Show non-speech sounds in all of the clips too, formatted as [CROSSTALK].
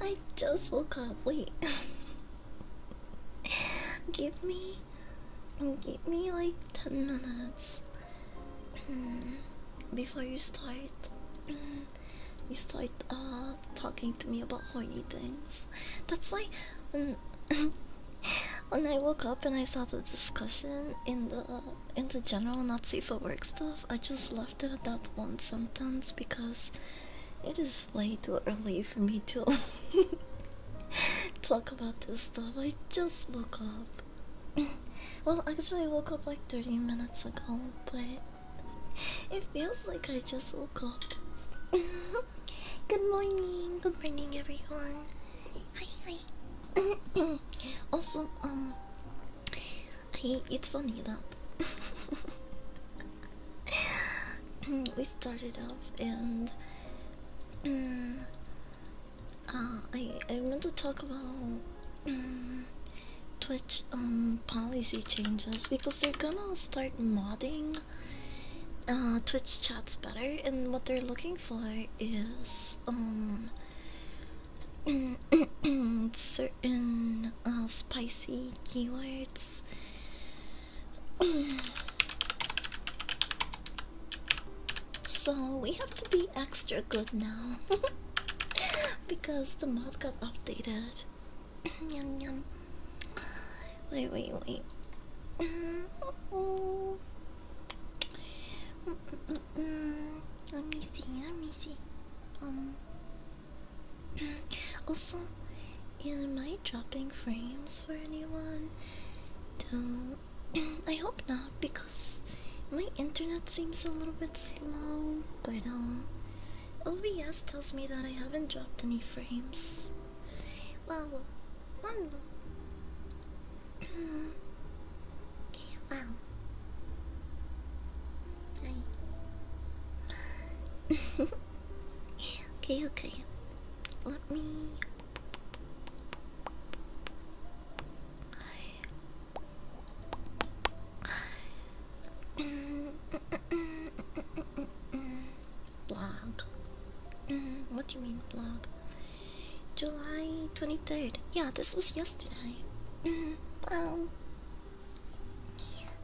I just woke up. Wait. give me give me like 10 minutes hmm. before you start hmm, you start uh, talking to me about horny things. That's why when, [LAUGHS] when I woke up and I saw the discussion in the in the general Nazi for work stuff. I just left it at that one sentence because it is way too early for me to [LAUGHS] talk about this stuff. I just woke up. [CLEARS THROAT] well, actually, I woke up like 30 minutes ago, but it feels like I just woke up. [LAUGHS] good morning, good morning, everyone. Hi, hi. [CLEARS THROAT] also, um, he it's funny that we started off and mm, uh, I I want to talk about mm, Twitch um, policy changes because they're gonna start modding uh, Twitch chats better and what they're looking for is um [COUGHS] certain uh, spicy keywords. [COUGHS] so we have to be extra good now [LAUGHS] because the mod got updated. [COUGHS] yum yum. Wait, wait, wait. Mm, let me see. Let me see. Um. [CLEARS THROAT] also, am I dropping frames for anyone? Don't. [CLEARS THROAT] I hope not because my internet seems a little bit slow. But um, OBS tells me that I haven't dropped any frames. Wow. One. [CLEARS THROAT] Hmm wow. Hi. [LAUGHS] okay, okay. Let me. blog. what do you mean, blog? July 23rd. Yeah, this was yesterday. um,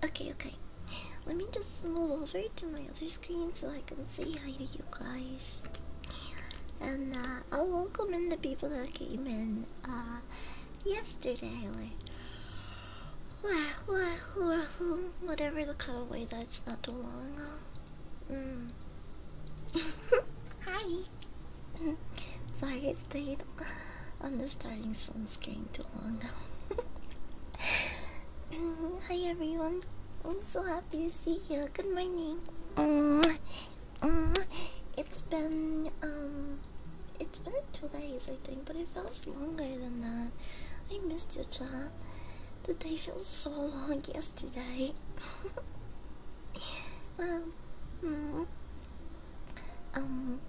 Okay, okay. Let me just move over to my other screen so I can say hi to you guys. And I'll welcome in the people that came in uh, yesterday whatever the cutaway that's not too long mm. [LAUGHS] hi! Sorry, it stayed on the starting sunscreen too long. [LAUGHS] Hi everyone, I'm so happy to see you. Good morning. Uh, uh, it's been um, it's been two days I think, but it feels longer than that. I missed you, chat. The day feels so long [LAUGHS] yesterday. [LAUGHS] um, mm. Um,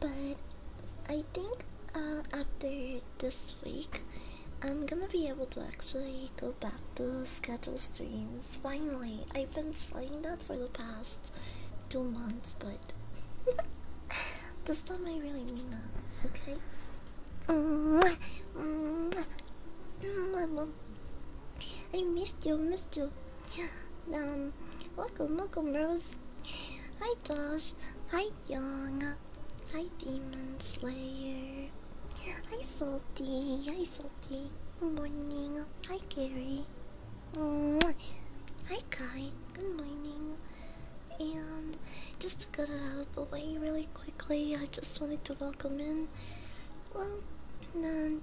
but I think uh, after this week, I'm gonna be able to actually go back to schedule streams. Finally, I've been saying that for the past two months, but [LAUGHS] this time I really mean that. Okay. I missed you, missed you um, welcome, welcome, Rose. Hi, Josh. Hi, Young. Hi, Demon Slayer. Hi, Salty. Hi, Salty. Good morning. Hi, Gary. Mwah. Hi, Kai. Good morning. And just to get it out of the way really quickly, I just wanted to welcome in. Well, then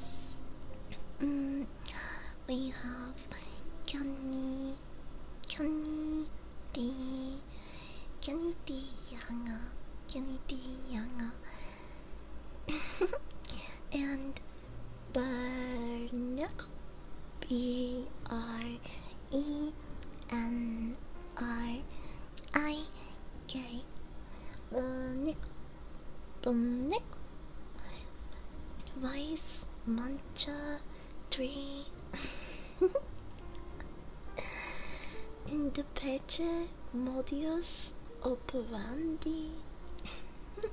S. Mm, we have Kenny, Kenny D, Kenny D Yanga, Kenny D [LAUGHS] and Bernick, B R E N R I K Bernick, Bernick, Vice, Mancha, Tree, [LAUGHS] the peche Modius, Operandi.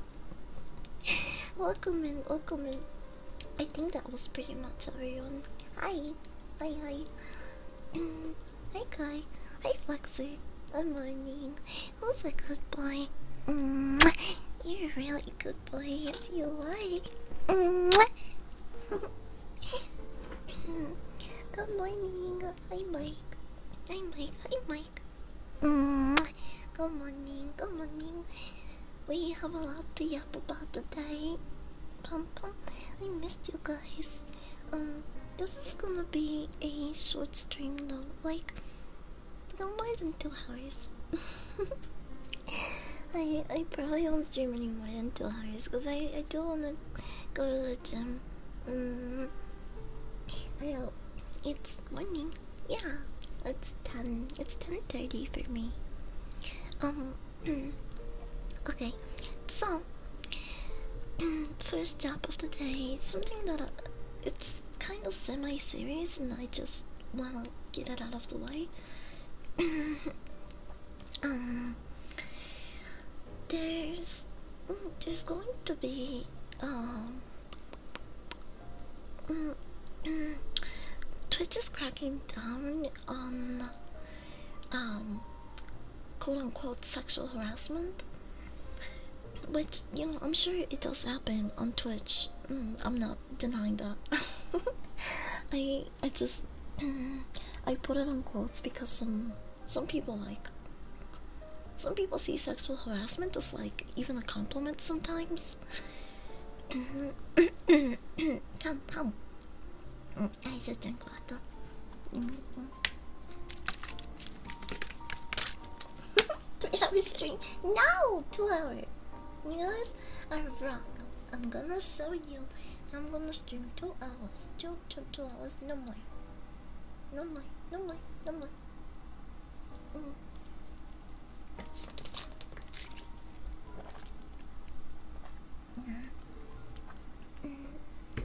[LAUGHS] welcome in, welcome in. I think that was pretty much everyone. Hi, hi, hi. [CLEARS THROAT] hi, Kai. Hi, Foxy. Good morning. Who's a good boy? You're a really good boy, yes you like. [LAUGHS] good morning. Hi Mike. Hi Mike. Hi Mike. Good morning. Good morning. We have a lot to yap about today. I missed you guys. Um, this is gonna be a short stream though, like no more than two hours. [LAUGHS] I I probably won't stream any more than two hours because I I do wanna go to the gym. Mm. it's morning. Yeah, it's ten. It's ten thirty for me. Um. [CLEARS THROAT] okay, so [CLEARS THROAT] first job of the day. Something that it's kind of semi-serious and I just wanna get it out of the way. um, [LAUGHS] there's mm, there's going to be um mm, mm, Twitch is cracking down on um quote unquote sexual harassment but you know, I'm sure it does happen on Twitch. Mm, I'm not denying that. [LAUGHS] I I just [CLEARS THROAT] I put it on quotes because some some people like some people see sexual harassment as like even a compliment sometimes. [COUGHS] come, come. Mm, I should drink water. Mm, [LAUGHS] to every stream. No, two hours. Yes, I'm wrong. I'm gonna show you. I'm gonna stream two hours. Two, two, two hours. No more. No more. No more. No more. Mm. Mm.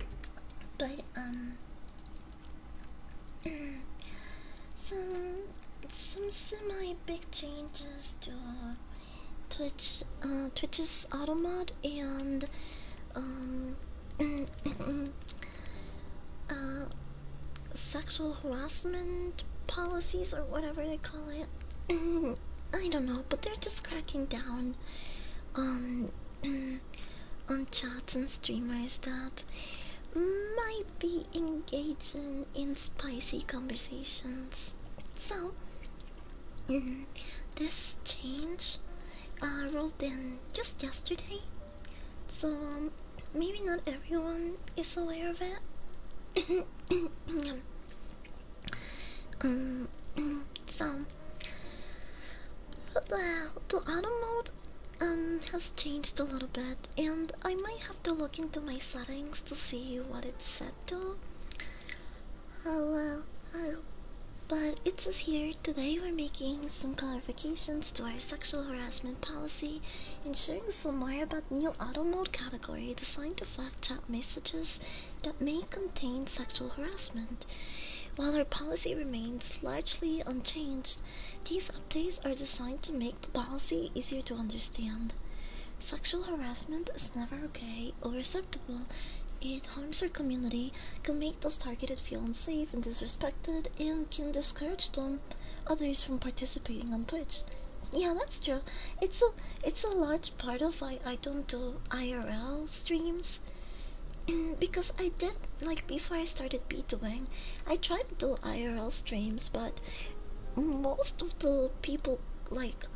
But um, some some semi big changes to Twitch, uh, Twitch's automod and um, [COUGHS] uh, sexual harassment policies or whatever they call it. [COUGHS] I don't know, but they're just cracking down on on on chats and streamers that might be engaging in spicy conversations. So mm, this change uh, rolled in just yesterday, so um, maybe not everyone is aware of it. [COUGHS] um, [COUGHS] so the the auto mode um has changed a little bit and I might have to look into my settings to see what it's set to. Hello, hello. But it's says here today we're making some clarifications to our sexual harassment policy ensuring some more about new auto mode category designed to flag chat messages that may contain sexual harassment. While our policy remains largely unchanged, these updates are designed to make the policy easier to understand. Sexual harassment is never okay or acceptable. It harms our community, can make those targeted feel unsafe and disrespected, and can discourage them others from participating on Twitch. Yeah, that's true. It's a it's a large part of why I don't do IRL streams [CLEARS THROAT] because I did like before I started b 2 I try to do IRL streams, but most of the people like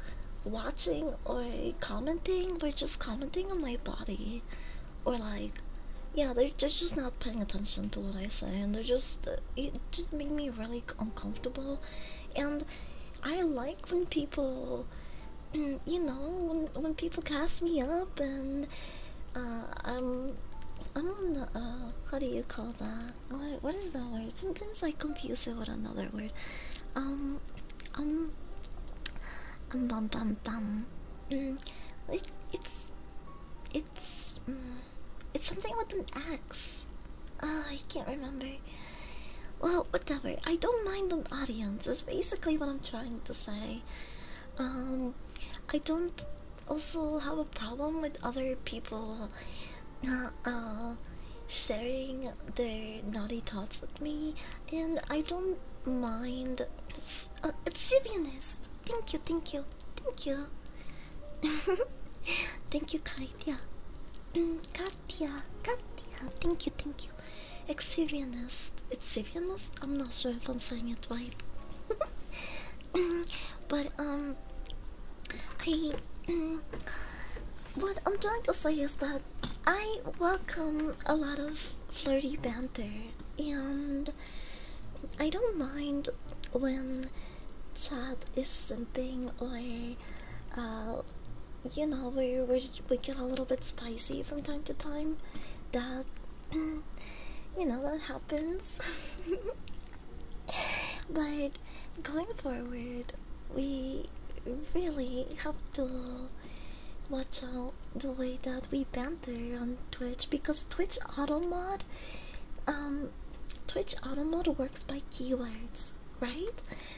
watching or commenting were just commenting on my body, or like, yeah, they're, just not paying attention to what I say, and they're just uh, it just made me really uncomfortable, and I like when people, [CLEARS THROAT] you know, when people cast me up and uh, I'm, I'm on the uh, how do you call that? What, what is that word? Sometimes I confuse it with another word. Um, um, um, bum, bum, bum. Mm, it, it's, it's, mm, it's something with an X. Uh, I can't remember. Well, whatever. I don't mind an audience. That's basically what I'm trying to say. Um, I don't also have a problem with other people uh, uh, sharing their naughty thoughts with me, and I don't mind. It's, uh, it's Sivianist. Thank you, thank you, thank you. [LAUGHS] thank you, Katya. Mm, Katya, Katya. Thank you, thank you. Exivionist. It's I'm not sure if I'm saying it right. [LAUGHS] but um I what I'm trying to say is that I welcome a lot of flirty banter and I don't mind when chat is simping like, uh you know where we, we get a little bit spicy from time to time that [CLEARS THROAT] you know that happens. [LAUGHS] but going forward, we really have to watch out the way that we banter on Twitch because Twitch AutoMod, um, Twitch Auto Mod works by keywords, right?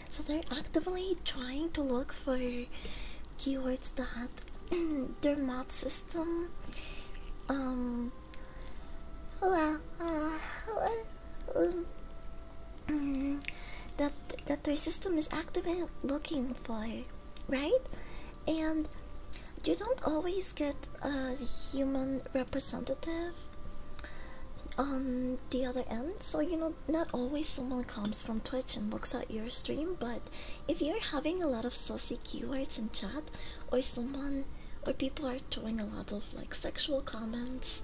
So they're actively trying to look for keywords that [CLEARS THROAT] their mod system um well, uh, um, [CLEARS THROAT] that that their system is actively looking for right and you don't always get a human representative on the other end so you know not always someone comes from twitch and looks at your stream but if you're having a lot of saucy keywords in chat or someone or people are throwing a lot of like sexual comments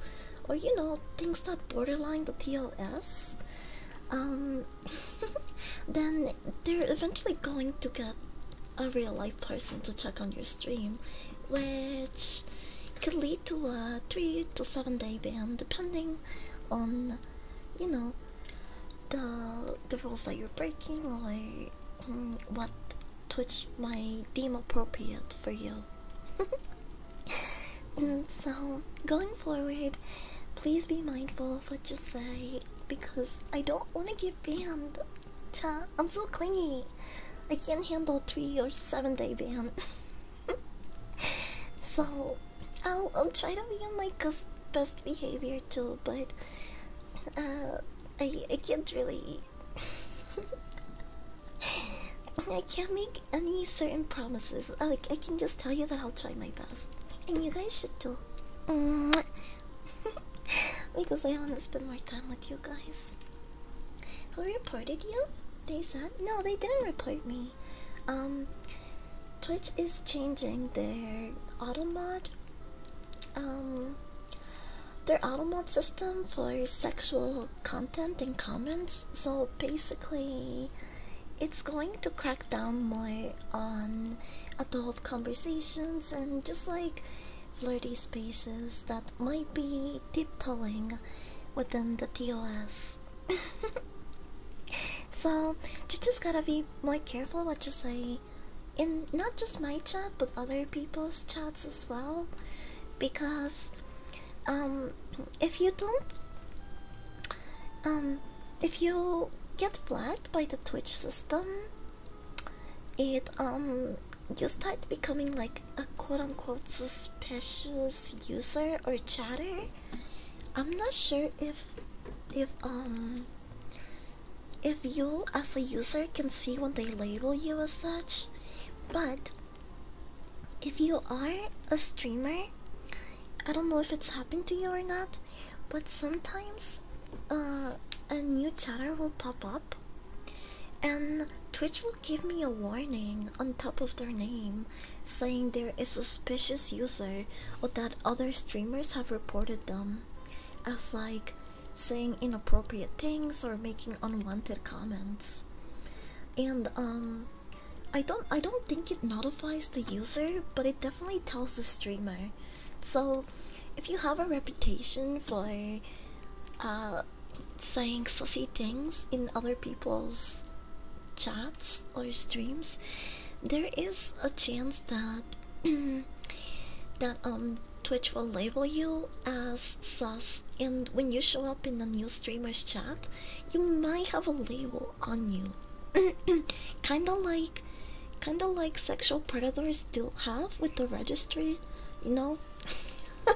or you know things that borderline the TOS um [LAUGHS] then they're eventually going to get a real life person to check on your stream which could lead to a 3 to 7 day ban depending on you know the the rules that you're breaking or Mm, what Twitch might deem appropriate for you. [LAUGHS] Mm, so, going forward, please be mindful of what you say because I don't want to get banned. Cha, I'm so clingy. I can't handle three or seven day ban. [LAUGHS] so, I'll, I'll try to be on my best behavior too, but uh, I I can't really. I can't make any certain promises. Like I can just tell you that I'll try my best, and you guys should too. [LAUGHS] because I want to spend more time with you guys. Who reported you? They said no. They didn't report me. Um, Twitch is changing their auto mod um, their automod system for sexual content and comments. So basically, it's going to crack down more on adult conversations and just like flirty spaces that might be tiptoeing within the TOS. [LAUGHS] so you just gotta be more careful what you say in not just my chat but other people's chats as well because um, if you don't um, if you get flagged by the twitch system it um, you start becoming like a quote-unquote suspicious user or chatter i'm not sure if if um if you, as a user, can see when they label you as such, but if you are a streamer, I don't know if it's happened to you or not, but sometimes uh, a new chatter will pop up and Twitch will give me a warning on top of their name saying they're a suspicious user or that other streamers have reported them as like saying inappropriate things or making unwanted comments and um i don't i don't think it notifies the user but it definitely tells the streamer so if you have a reputation for uh saying sussy things in other people's chats or streams there is a chance that [CLEARS THROAT] that um Twitch will label you as sus, and when you show up in a new streamer's chat, you might have a label on you. [CLEARS THROAT] kinda like, kinda like sexual predators do have with the registry, you know. [LAUGHS]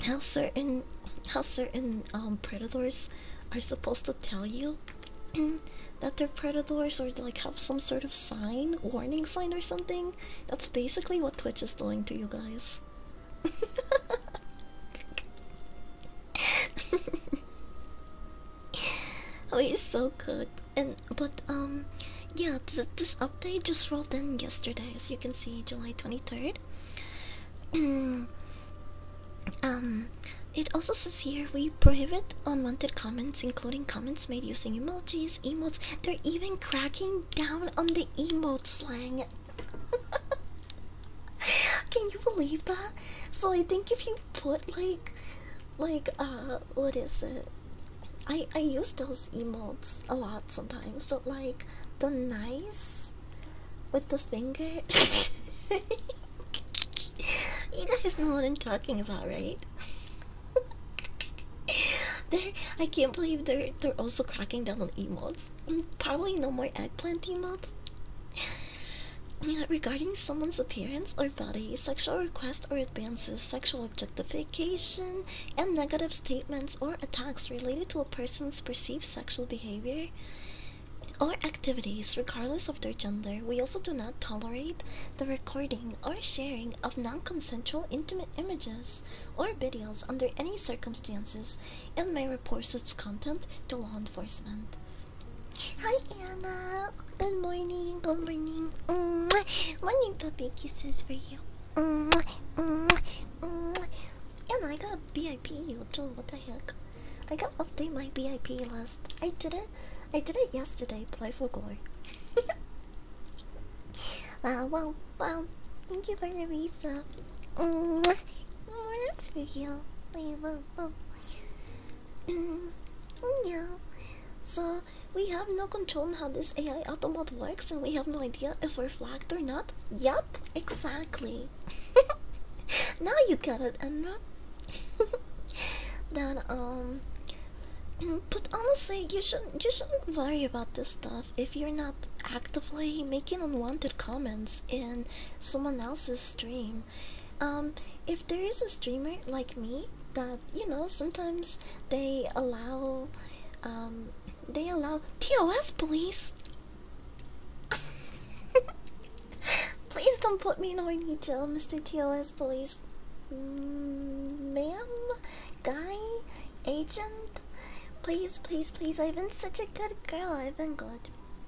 how certain, how certain um, predators are supposed to tell you [CLEARS THROAT] that they're predators or like have some sort of sign, warning sign or something. That's basically what Twitch is doing to you guys. [LAUGHS] oh, you're so good. And but um, yeah, this update just rolled in yesterday, as you can see, July twenty third. [CLEARS THROAT] um, it also says here we prohibit unwanted comments, including comments made using emojis, emotes. They're even cracking down on the emote slang. [LAUGHS] Can you believe that? So I think if you put like, like uh, what is it? I I use those emotes a lot sometimes. So like the nice with the finger. [LAUGHS] you guys know what I'm talking about, right? [LAUGHS] [LAUGHS] they I can't believe they're they're also cracking down on emotes. Mm, probably no more eggplant emotes. Yeah, regarding someone's appearance or body, sexual requests or advances, sexual objectification, and negative statements or attacks related to a person's perceived sexual behavior or activities, regardless of their gender, we also do not tolerate the recording or sharing of non-consensual intimate images or videos under any circumstances and may report its content to law enforcement. Hi Anna! Good morning, good morning. Mm Morning puppy kisses for you. Mm -hmm. Mm Anna, I got a BIP what the heck? I got update my BIP list. I did it I did it yesterday, but I [LAUGHS] Wow, wow, wow. Thank you for the resub. Mm -hmm. No more looks for you. Wait, whoa, whoa. Mm, yeah. So, we have no control on how this AI automod works, and we have no idea if we're flagged or not. Yup, exactly. [LAUGHS] now you got it, Enra. [LAUGHS] that, um, [CLEARS THROAT] but honestly, you shouldn't you shouldn't worry about this stuff if you're not actively making unwanted comments in someone else's stream. Um, if there is a streamer like me that you know sometimes they allow, um, they allow TOS police. [LAUGHS] Please don't put me in horny jail, Mr. Angeles mm, ma'am, guy, agent. Please, please, please. I've been such a good girl. I've been good.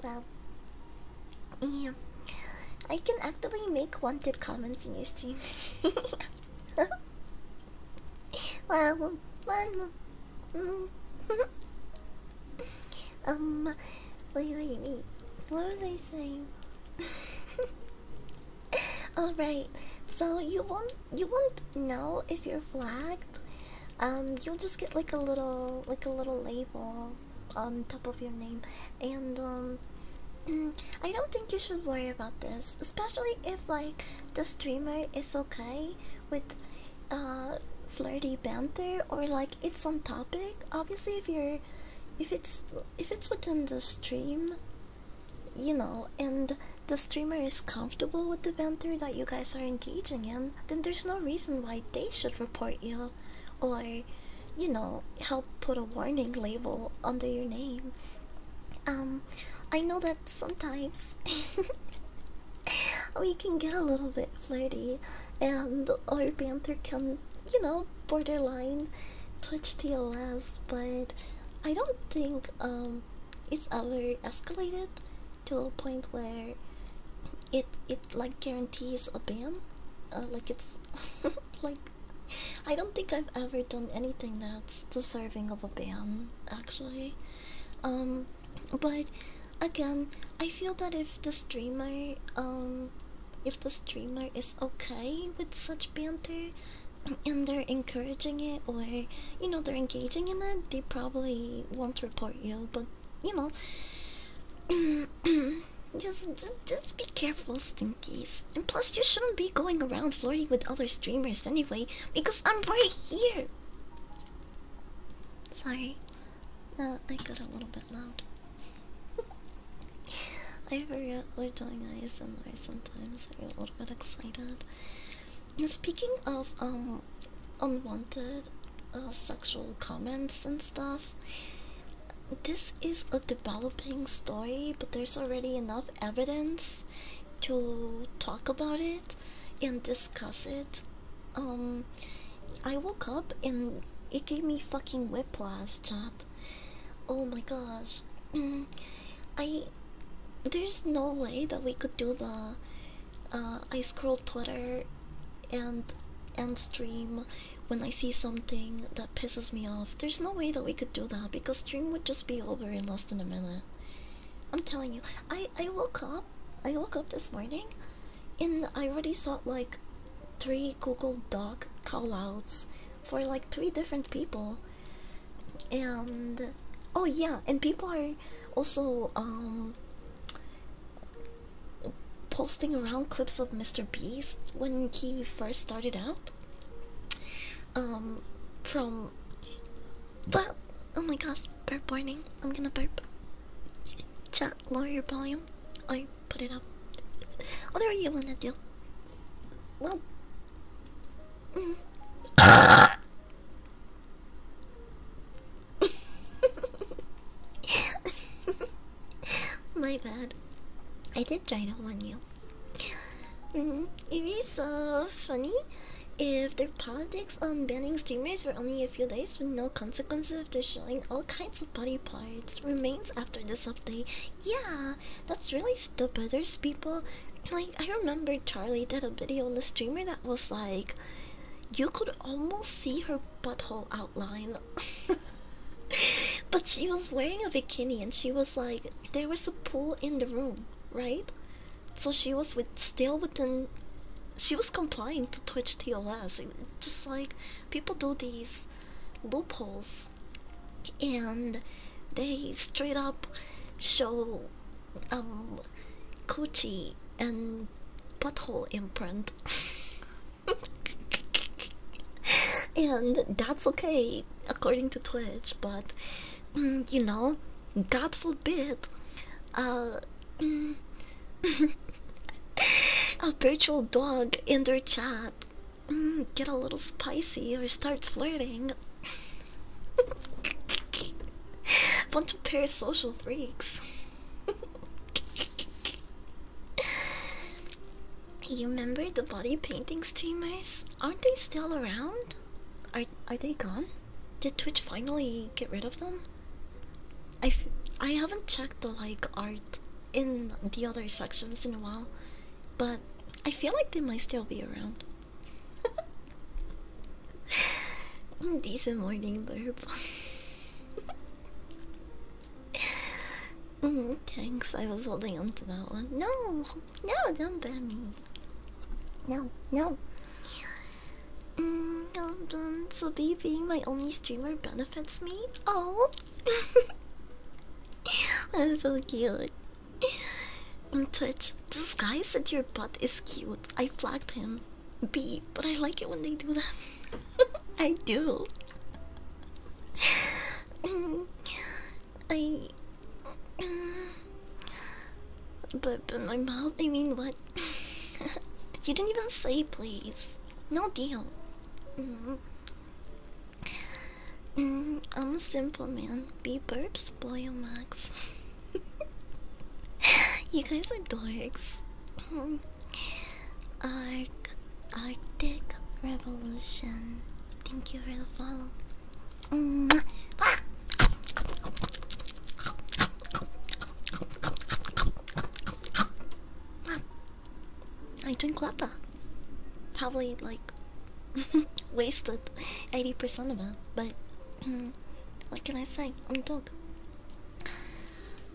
Well, yeah. I can actively make wanted comments in your stream. [LAUGHS] wow, mm. [LAUGHS] um, wait, wait, wait. What are they saying? [LAUGHS] [LAUGHS] All right. So you won't you won't know if you're flagged. Um, you'll just get like a little like a little label on top of your name, and um, [CLEARS THROAT] I don't think you should worry about this, especially if like the streamer is okay with uh flirty banter or like it's on topic. Obviously, if you're if it's if it's within the stream you know, and the streamer is comfortable with the banter that you guys are engaging in, then there's no reason why they should report you or, you know, help put a warning label under your name. Um, I know that sometimes [LAUGHS] we can get a little bit flirty and our banter can, you know, borderline Twitch TLS, but I don't think um it's ever escalated to a point where it it like guarantees a ban. Uh, like it's [LAUGHS] like I don't think I've ever done anything that's deserving of a ban actually. Um, but again, I feel that if the streamer um if the streamer is okay with such banter and they're encouraging it or you know they're engaging in it they probably won't report you but you know [CLEARS THROAT] just just be careful stinkies and plus you shouldn't be going around flirting with other streamers anyway because i'm right here sorry uh, i got a little bit loud [LAUGHS] i forget we're doing asmr sometimes I'm a little bit excited. speaking of um, unwanted uh, sexual comments and stuff, this is a developing story, but there's already enough evidence to talk about it and discuss it. Um, I woke up and it gave me fucking whiplash, chat. Oh my gosh. Mm, I there's no way that we could do the uh, I scroll Twitter and and stream when I see something that pisses me off. There's no way that we could do that because stream would just be over in less than a minute. I'm telling you, I I woke up. I woke up this morning, and I already saw like three Google Doc callouts for like three different people, and oh yeah and people are also um, posting around clips of mr beast when he first started out um from but oh my gosh burp warning i'm gonna burp chat lower your volume i put it up whatever you want to do well [LAUGHS] My bad. I did try to warn you. Mm-hmm. It is so funny if their politics on banning streamers for only a few days with no consequences after showing all kinds of body parts remains after this update. Yeah, that's really stupid. There's people like I remember Charlie did a video on the streamer that was like you could almost see her butthole outline. [LAUGHS] but she was wearing a bikini and she was like there was a pool in the room, right? So she was with still within she was complying to Twitch TOS. Just like people do these loopholes and they straight up show um coochie and butthole imprint [LAUGHS] and that's okay according to twitch but mm, you know god forbid uh, mm, [LAUGHS] a virtual dog in their chat [LAUGHS] get a little spicy or start flirting. [LAUGHS] Bunch of parasocial freaks. [LAUGHS] you remember the body painting streamers? Aren't they still around? Are are they gone? Did Twitch finally get rid of them? I f I haven't checked the like art in the other sections in a while, but I feel like they might still be around. Decent morning, blurb. Mm, thanks, I was holding on to that one. No, no, don't ban me. No, no. Mm, um, so be being my only streamer benefits me. Oh, [LAUGHS] that's so cute. [SIGHS] On Twitch, this guy said your butt is cute. I flagged him. B, but I like it when they do that. [LAUGHS] I do. [SIGHS] I. [SIGHS] But, but my mouth, I mean, what? [LAUGHS] you didn't even say please. No deal. Mm-hmm. Mm, I'm a simple man. Be burps, spoil your max. [LAUGHS] you guys are dorks. Um, Arc, Arctic Revolution. Thank you for the follow. Mm-hmm. Ah! I drink water. Probably like [LAUGHS] wasted 80% of it, but mm, what can I say? I'm dog.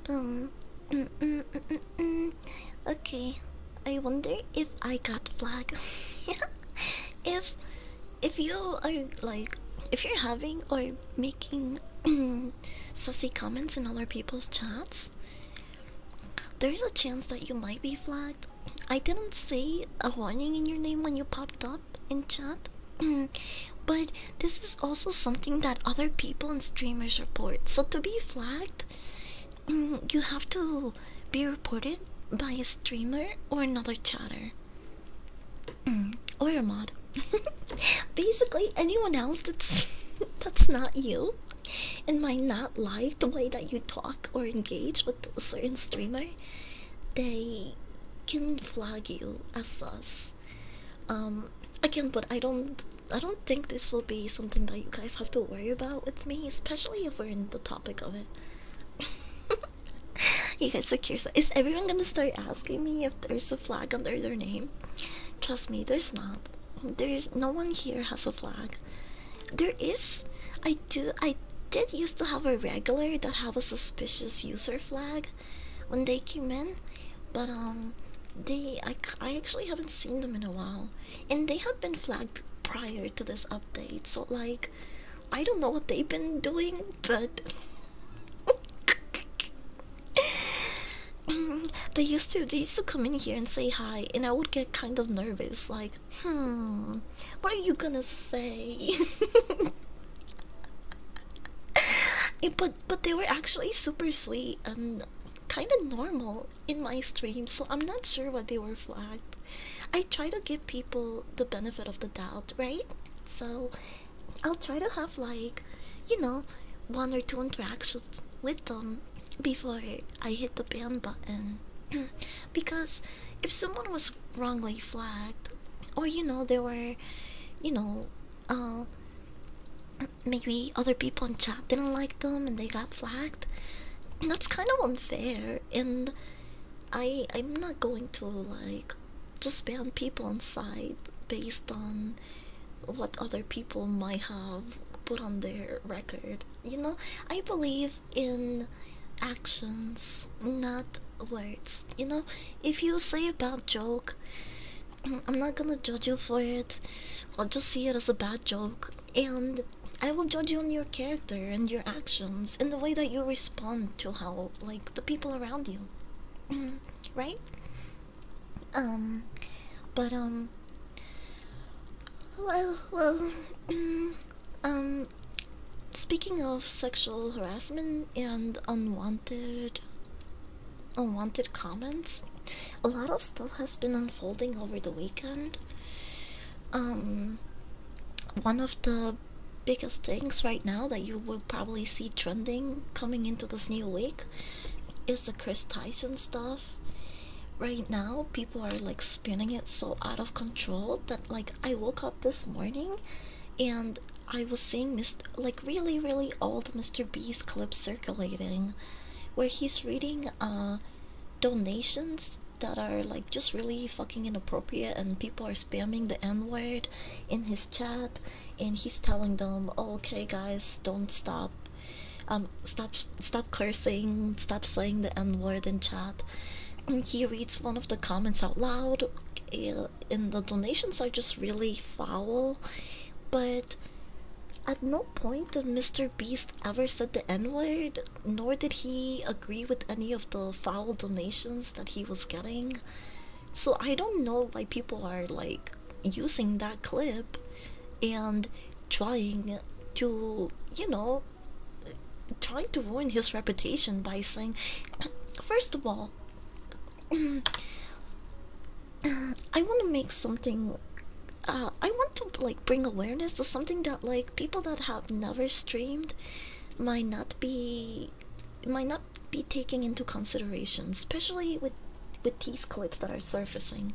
Um, mm, mm, okay. I wonder if I got flagged. [LAUGHS] if if you are like if you're having or making sassy comments in other people's chats, there's a chance that you might be flagged. I didn't say a warning in your name when you popped up in chat, [CLEARS THROAT] but this is also something that other people and streamers report. So to be flagged, [CLEARS THROAT] you have to be reported by a streamer or another chatter. [CLEARS THROAT] or your mod. [LAUGHS] Basically, anyone else that's [LAUGHS] that's not you and might not like the way that you talk or engage with a certain streamer they can flag you as us. Um, I can, but I don't, I don't think this will be something that you guys have to worry about with me, especially if we're in the topic of it. [LAUGHS] you guys are curious. Is everyone gonna start asking me if there's a flag under their name? Trust me, there's not. There's no one here has a flag. There is, I do, I did used to have a regular that have a suspicious user flag when they came in, but um, they, I, I actually haven't seen them in a while, and they have been flagged prior to this update, so like, I don't know what they've been doing, but. [LAUGHS] they used to they used to come in here and say hi and I would get kind of nervous like Hmm, what are you gonna say? [LAUGHS] but but they were actually super sweet and kind of normal in my stream, so I'm not sure why they were flagged. I try to give people the benefit of the doubt, right? So I'll try to have like, you know, one or two interactions with them before I hit the ban button. [CLEARS THROAT] because if someone was wrongly flagged or you know there were you know um, maybe other people in chat didn't like them and they got flagged that's kind of unfair and i i'm not going to like just ban people on site based on what other people might have put on their record you know i believe in actions, not words. You know, if you say a bad joke, [CLEARS THROAT] I'm not gonna judge you for it. I'll just see it as a bad joke, and I will judge you on your character and your actions and the way that you respond to how, like, the people around you, [CLEARS THROAT] right? Um, but um, well, well, [CLEARS THROAT] Um, speaking of sexual harassment and unwanted, unwanted comments, a lot of stuff has been unfolding over the weekend. Um, one of the biggest things right now that you will probably see trending coming into this new week is the Chris Tyson stuff. Right now, people are like spinning it so out of control that like I woke up this morning and I was seeing Mr. like really really old Mr. Beast clips circulating where he's reading uh donations that are like just really fucking inappropriate and people are spamming the n-word in his chat and he's telling them oh, okay guys don't stop um stop stop cursing stop saying the n-word in chat he reads one of the comments out loud, eh, and the donations are just really foul. But at no point did Mr. Beast ever said the N word, nor did he agree with any of the foul donations that he was getting. So I don't know why people are like using that clip and trying to, you know, trying to ruin his reputation by saying, first of all, I want to make something. Uh, I want to like bring awareness to something that like people that have never streamed might not be might not be taking into consideration, especially with with these clips that are surfacing.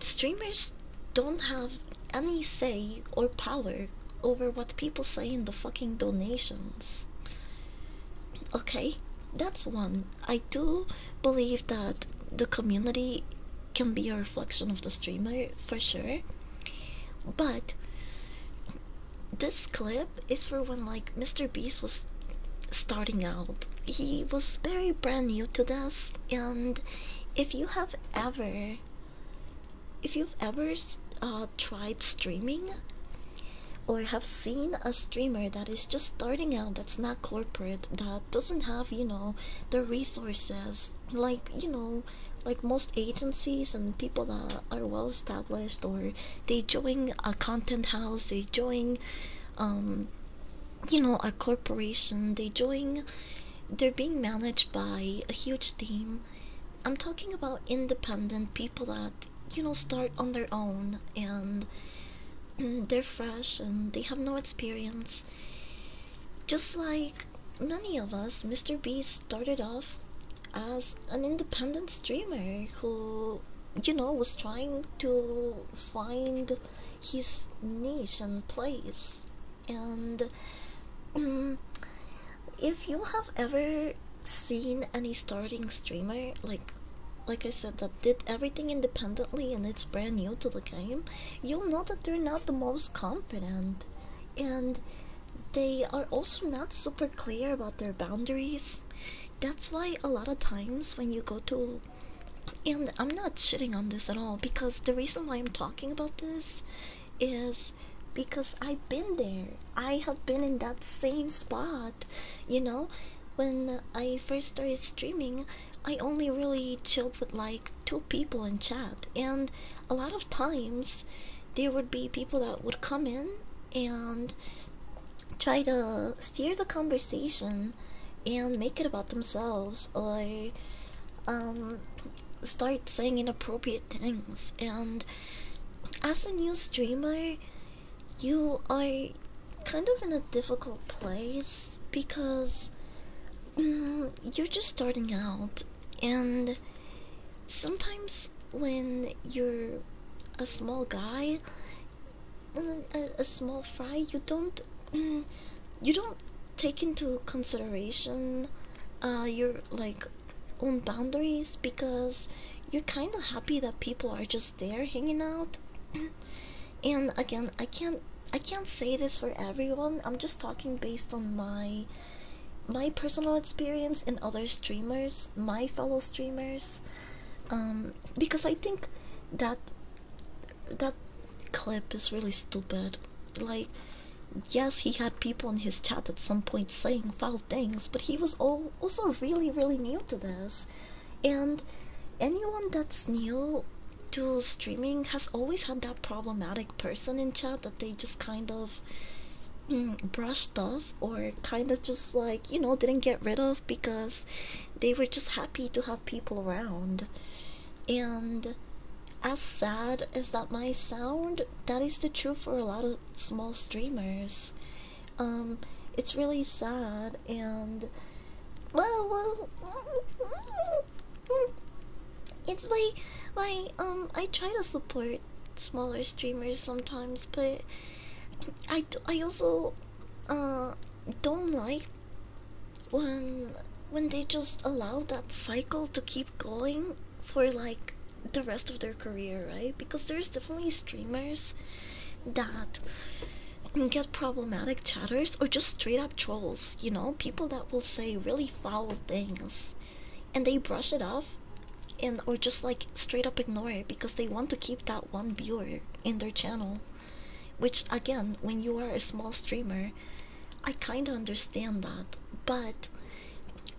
Streamers don't have any say or power over what people say in the fucking donations. Okay, that's one. I do believe that the community can be a reflection of the streamer for sure, but this clip is for when like Mr. Beast was starting out. He was very brand new to this, and if you have ever if you've ever uh, tried streaming or have seen a streamer that is just starting out, that's not corporate, that doesn't have, you know, the resources like, you know, like most agencies and people that are well established, or they join a content house, they join, um, you know, a corporation, they join, they're being managed by a huge team I'm talking about independent people that you know start on their own and [CLEARS THROAT] they're fresh and they have no experience. Just like many of us, Mr. Beast started off as an independent streamer who you know was trying to find his niche and place and mm, if you have ever seen any starting streamer like like I said that did everything independently and it's brand new to the game, you'll know that they're not the most confident and they are also not super clear about their boundaries. That's why a lot of times when you go to and I'm not shitting on this at all because the reason why I'm talking about this is because I've been there. I have been in that same spot. You know, when I first started streaming, I only really chilled with like two people in chat, and a lot of times there would be people that would come in and try to steer the conversation and make it about themselves or um start saying inappropriate things and as a new streamer you are kind of in a difficult place because mm, you're just starting out and sometimes when you're a small guy mm, a, small fry you don't mm, you don't take into consideration uh, your like own boundaries because you're kind of happy that people are just there hanging out [CLEARS THROAT] and again i can't i can't say this for everyone i'm just talking based on my my personal experience and other streamers my fellow streamers um because i think that that clip is really stupid like, yes, he had people in his chat at some point saying foul things, but he was all also really, really new to this. And anyone that's new to streaming has always had that problematic person in chat that they just kind of mm, brushed off or kind of just like, you know, didn't get rid of because they were just happy to have people around. And as sad as that might sound, that is the truth for a lot of small streamers. Um, it's really sad and well, well, mm, it's my my um. I try to support smaller streamers sometimes, but I I also uh don't like when when they just allow that cycle to keep going for like the rest of their career, right? Because there's definitely streamers that get problematic chatters or just straight up trolls, you know, people that will say really foul things and they brush it off and or just like straight up ignore it because they want to keep that one viewer in their channel. Which again, when you are a small streamer, I kind of understand that, but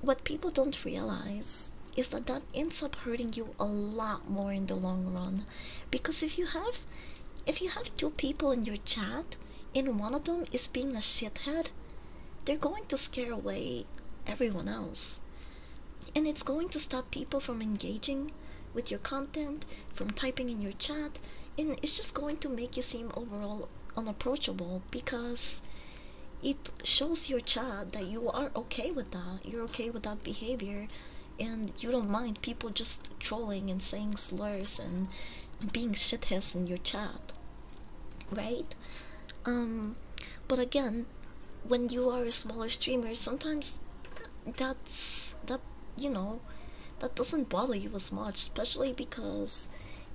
what people don't realize is that that ends up hurting you a lot more in the long run because if you have if you have two people in your chat and one of them is being a shithead they're going to scare away everyone else and it's going to stop people from engaging with your content from typing in your chat and it's just going to make you seem overall unapproachable because it shows your child that you are okay with that you're okay with that behavior and you don't mind people just trolling and saying slurs and being shitheads in your chat right um, but again when you are a smaller streamer sometimes that's that you know that doesn't bother you as much especially because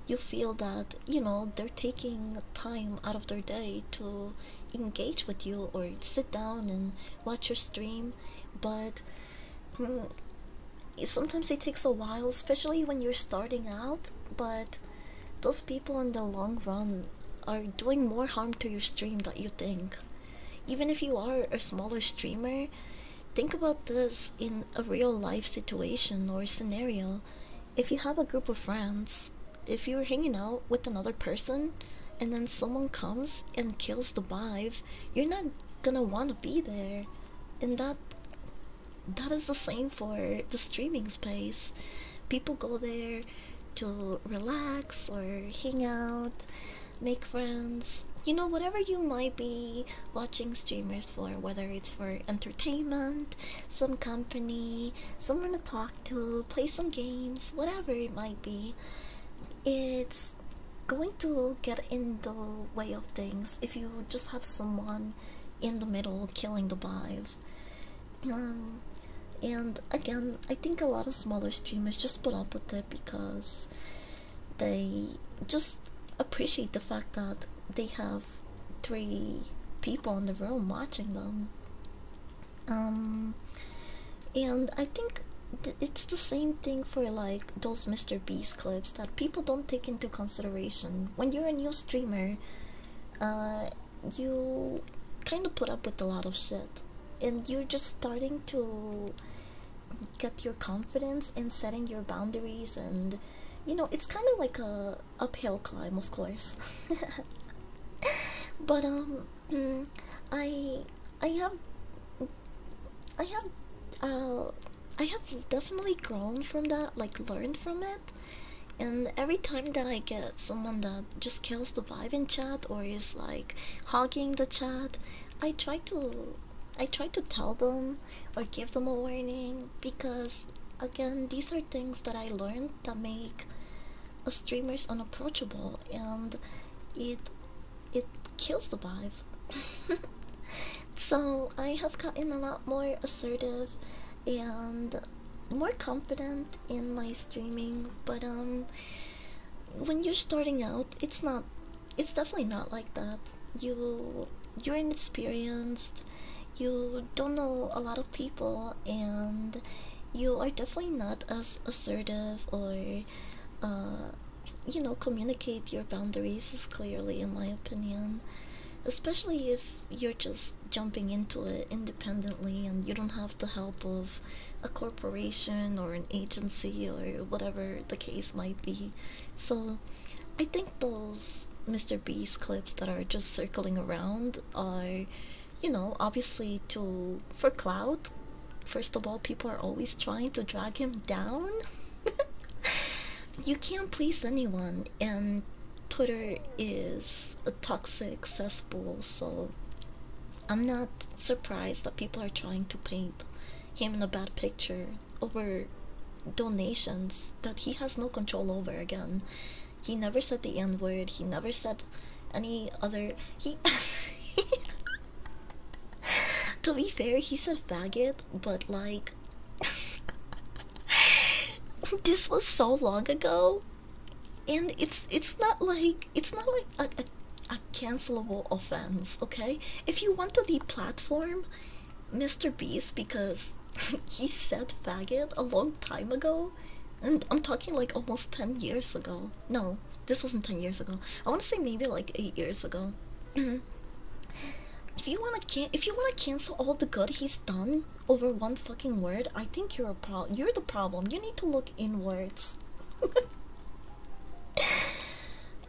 you feel that you know they're taking time out of their day to engage with you or sit down and watch your stream but mm, sometimes it takes a while especially when you're starting out but those people in the long run are doing more harm to your stream than you think even if you are a smaller streamer think about this in a real life situation or scenario if you have a group of friends, if you're hanging out with another person and then someone comes and kills the vibe, you're not gonna want to be there. And that that is the same for the streaming space. People go there to relax or hang out, make friends. You know, whatever you might be watching streamers for, whether it's for entertainment, some company, someone to talk to, play some games, whatever it might be. It's going to get in the way of things if you just have someone in the middle killing the vibe. Um, and again, I think a lot of smaller streamers just put up with it because they just appreciate the fact that they have three people in the room watching them. Um, and I think it's the same thing for like those Mr. Beast clips that people don't take into consideration. When you're a new streamer, uh, you kind of put up with a lot of shit, and you're just starting to get your confidence and setting your boundaries and you know it's kind of like a uphill climb, of course. [LAUGHS] but um, mm, I I have I have uh I have definitely grown from that, like learned from it. And every time that I get someone that just kills the vibe in chat or is like hogging the chat, I try to I try to tell them or give them a warning because again these are things that I learned that make streamers unapproachable and it it kills the vibe [LAUGHS] so i have gotten a lot more assertive and more confident in my streaming but um when you're starting out it's not it's definitely not like that you you're inexperienced you don't know a lot of people and you are definitely not as assertive or uh, you know communicate your boundaries as clearly in my opinion especially if you're just jumping into it independently and you don't have the help of a corporation or an agency or whatever the case might be so i think those mr beast clips that are just circling around brand or you know obviously to for cloud first of all people are always trying to drag him down [LAUGHS] you can't please anyone and twitter is a toxic cesspool so i'm not surprised that people are trying to paint him in a bad picture over donations that he has no control over again he never said the N word. He never said any other. He. [LAUGHS] to be fair, he said faggot, but like. [LAUGHS] this was so long ago, and it's it's not like it's not like a, a, cancelable offense. Okay, if you want to deplatform Mr. Beast because [LAUGHS] he said faggot a long time ago, and I'm talking like almost 10 years ago. No, this wasn't 10 years ago. I want to say maybe like 8 years ago. [CLEARS THROAT] if you want to if you want to cancel all the good he's done over one fucking word, I think you're a pro you're the problem. You need to look inwards. [LAUGHS]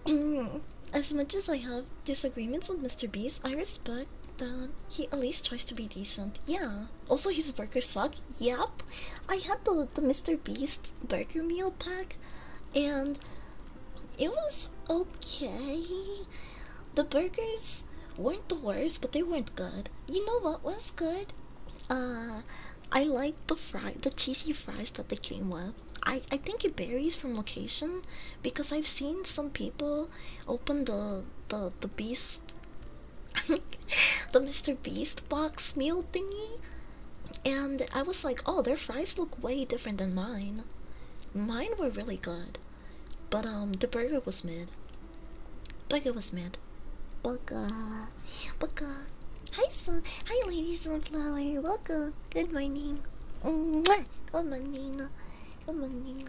Mm, as much as I have disagreements with Mr. Beast, I respect then he at least tries to be decent. Yeah. Also, his burgers suck. Yup, I had the the Mr. Beast burger meal pack, and it was okay. The burgers weren't the worst, but they weren't good. You know what was good? Uh, I liked the fry, the cheesy fries that they came with. I I think it varies from location because I've seen some people open the the the beast [LAUGHS] the Mr. Beast box meal thingy, and I was like, oh, their fries look way different than mine. Mine were really good, but um, the burger was mid. Burger was mid. Booga, booga. Hi, son. Hi, lady sunflower. Welcome. Good morning. Good morning. Good morning.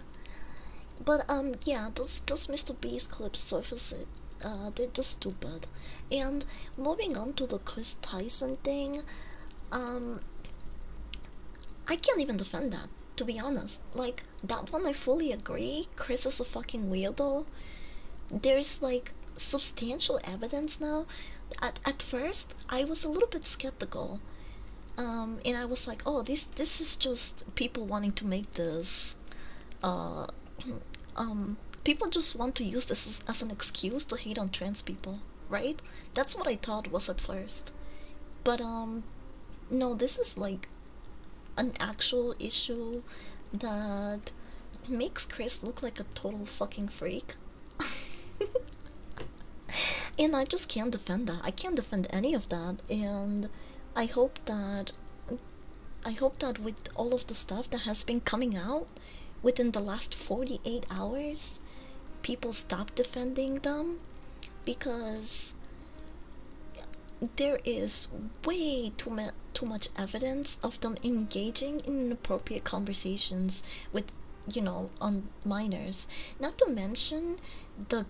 But um, yeah, those those Mr. Beast clips surface it. Uh, they're just stupid. And moving on to the Chris Tyson thing, um, I can't even defend that. To be honest, like that one, I fully agree. Chris is a fucking weirdo. There's like substantial evidence now. At at first, I was a little bit skeptical. Um, and I was like, oh, this this is just people wanting to make this. Uh, [CLEARS THROAT] um, people just want to use this as, as an excuse to hate on trans people, right? That's what I thought was at first, but um, no, this is like an actual issue that makes Chris look like a total fucking freak. [LAUGHS] and I just can't defend that. I can't defend any of that. And I hope that I hope that with all of the stuff that has been coming out within the last 48 hours, people stop defending them because there is way too, ma too much evidence of them engaging in inappropriate conversations with, you know, on minors. Not to mention the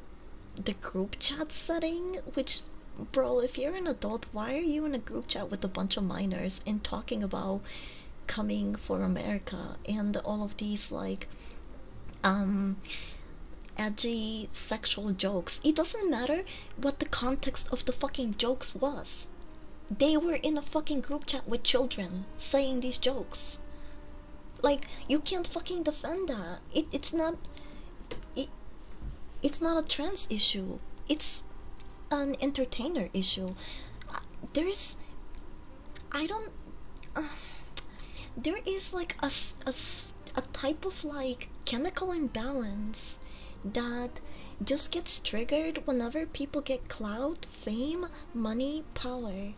the group chat setting, which bro, if you're an adult, why are you in a group chat with a bunch of minors and talking about coming for America and all of these like um edgy sexual jokes? It doesn't matter what the context of the fucking jokes was. They were in a fucking group chat with children saying these jokes. Like, you can't fucking defend that. Uh, it, it's not it, it's not a trans issue it's an entertainer issue uh, there's i don't uh, there is like a, a, a type of like chemical imbalance that just gets triggered whenever people get cloud fame money power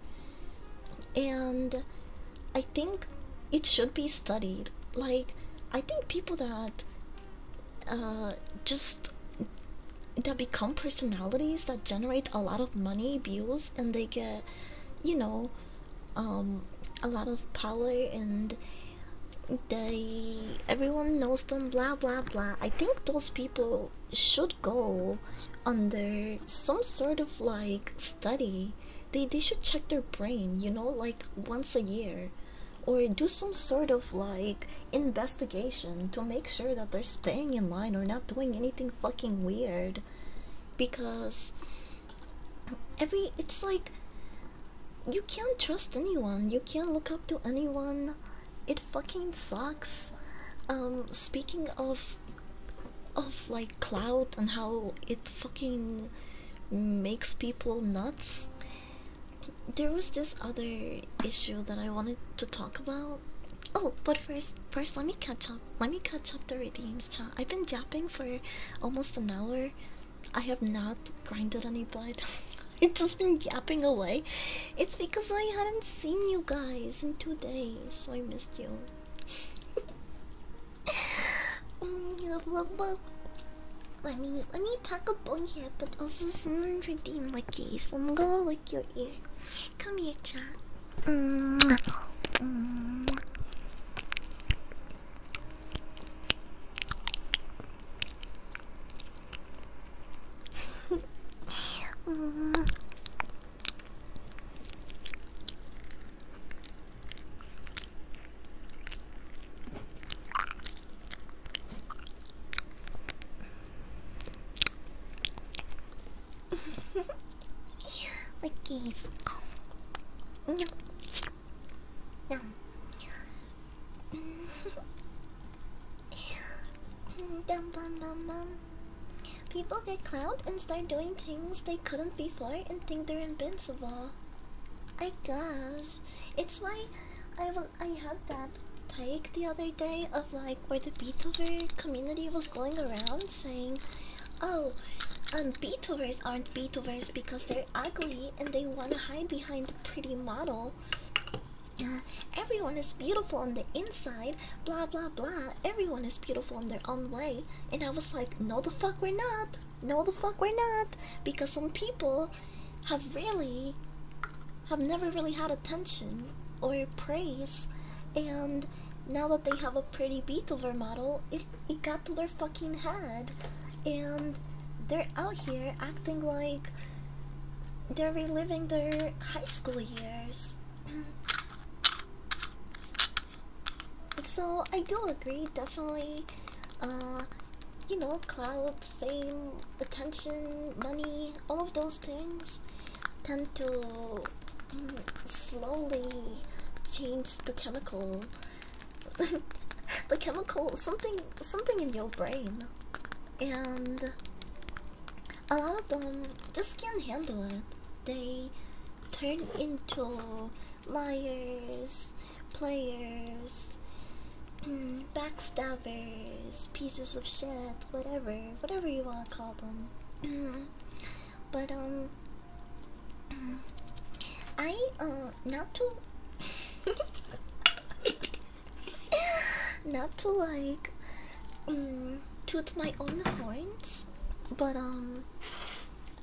and I think it should be studied. Like, I think people that uh, just that become personalities that generate a lot of money, views, and they get, you know, um, a lot of power, and they everyone knows them. Blah blah blah. I think those people should go under some sort of like study they they should check their brain, you know, like once a year, or do some sort of like investigation to make sure that they're staying in line or not doing anything fucking weird. Because every it's like you can't trust anyone. You can't look up to anyone. It fucking sucks. Um, speaking of of like like cloud and how it fucking makes people nuts there was this other issue that i wanted to talk about oh but first first let me catch up let me catch up the redeems chat i've been japping for almost an hour i have not grinded any blood It's [LAUGHS] just been yapping away. It's because I hadn't seen you guys in two days, so I missed you. [LAUGHS] let me let me talk about here, but also soon redeem my case. I'm gonna lick your ear. Come here, chat okay. No. No. People get clowned and start doing things they couldn't before and think they're invincible. I guess it's why I I had that take the other day of like where the Beethoven community was going around saying, "Oh, um, Beethovers aren't Beethovers because they're ugly and they want to hide behind the pretty model." Uh, everyone is beautiful on the inside, blah blah blah. Everyone is beautiful in their own way, and I was like, "No, the fuck, we're not." No, the fuck, we're not. Because some people have really, have never really had attention or praise, and now that they have a pretty Beethoven model, it, it got to their fucking head, and they're out here acting like they're reliving their high school years. [CLEARS THROAT] So I do agree, definitely. Uh, you know, cloud, fame, attention, money, all of those things tend to mm, slowly change the chemical. [LAUGHS] the chemical, something, something in your brain, and a lot of them just can't handle it. They turn into liars, players, mm, backstabbers, pieces of shit, whatever, whatever you want to call them. [CLEARS THROAT] but um, [CLEARS THROAT] I uh not to [LAUGHS] not to like um, my own horns, but um,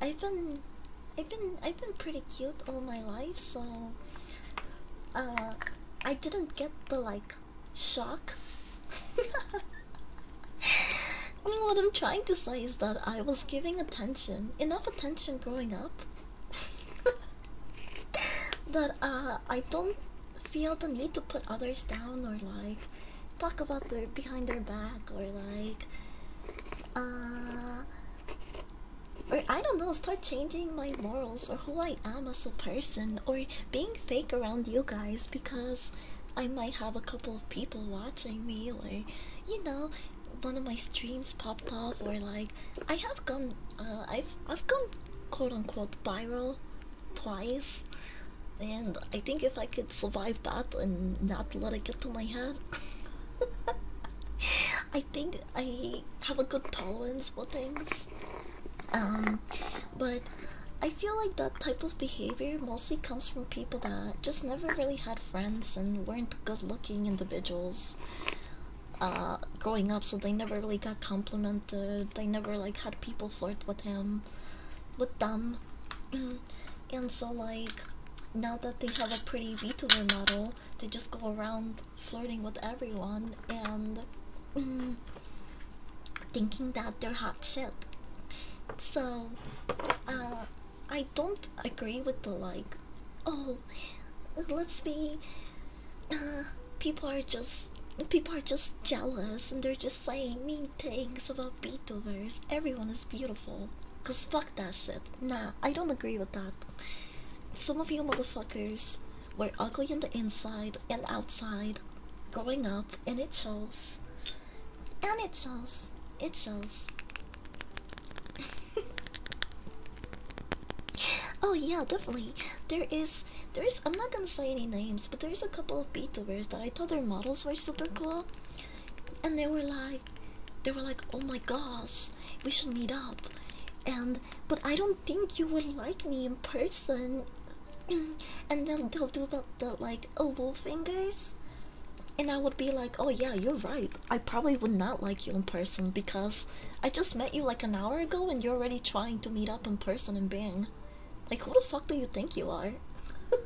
I've been, I've been, I've been pretty cute all my life, so uh, I didn't get the like shock. I [LAUGHS] mean, what I'm trying to say is that I was giving attention, enough attention growing up, [LAUGHS] that uh, I don't feel the need to put others down or like talk about their behind their back or like uh or I don't know, start changing my morals or who I am as a person or being fake around you guys because I might have a couple of people watching me or you know, one of my streams popped off or like I have gone uh, I've I've gone quote unquote viral twice and I think if I could survive that and not let it get to my head [LAUGHS] [LAUGHS] I think I have a good tolerance for things. Um, but I feel like that type of behavior mostly comes from people that just never really had friends and weren't good looking individuals uh, growing up, so they never really got complimented. They never like had people flirt with them, with them. [CLEARS THROAT] and so like now that they have a pretty VTuber model, they just go around flirting with everyone and mm, thinking that they're hot shit. So, uh, I don't agree with the like, oh, let's be. Uh, people are just people are just jealous and they're just saying mean things about VTubers. Everyone is beautiful. Cause fuck that shit. Nah, I don't agree with that. Some of you motherfuckers were ugly on the inside and outside growing up, and it shows. And it shows. It shows. [LAUGHS] oh yeah, definitely. There is, there's. I'm not gonna say any names, but there's a couple of VTubers that I thought their models were super cool, and they were like they were like oh my gosh we should meet up and but i don't think you would like me in person [CLEARS THROAT] and then they'll do the, the like elbow fingers and i would be like oh yeah you're right i probably would not like you in person because i just met you like an hour ago and you're already trying to meet up in person and bang like who the fuck do you think you are [LAUGHS]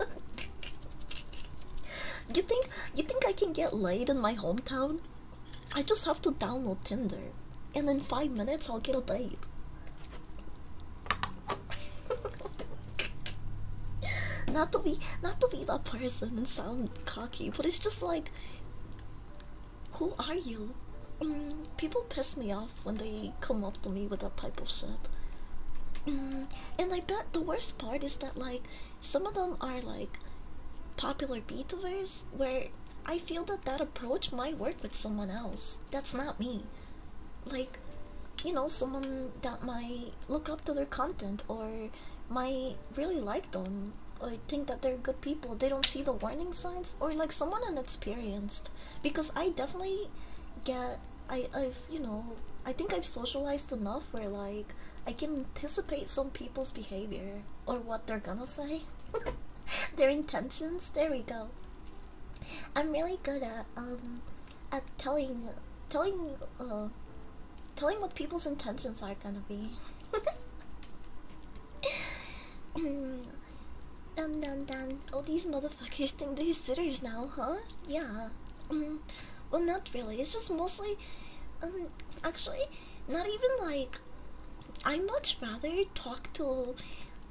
you think you think I can get laid in my hometown? I just have to download Tinder, and in five minutes I'll get a date. [LAUGHS] not to be, not to be that person and sound cocky, but it's just like, who are you? Mm, people piss me off when they come up to me with that type of shit. Mm, and I bet the worst part is that like some of them are like popular beethovers where I feel that that approach might work with someone else. That's not me. Like, you know, someone that might look up to their content or might really like them or think that they're good people. They don't see the warning signs or like someone inexperienced. Because I definitely get, I've, you know, I think I've socialized enough where like I can anticipate some people's behavior or what they're gonna say, [LAUGHS] their intentions. There we go. I'm really good at um at telling telling uh telling what people's intentions are gonna be. [LAUGHS] Dun dun dun. All these motherfuckers think they're sitters now, huh? Yeah. Mm-hmm. well, not really. It's just mostly. Um, actually, not even like I would much rather talk to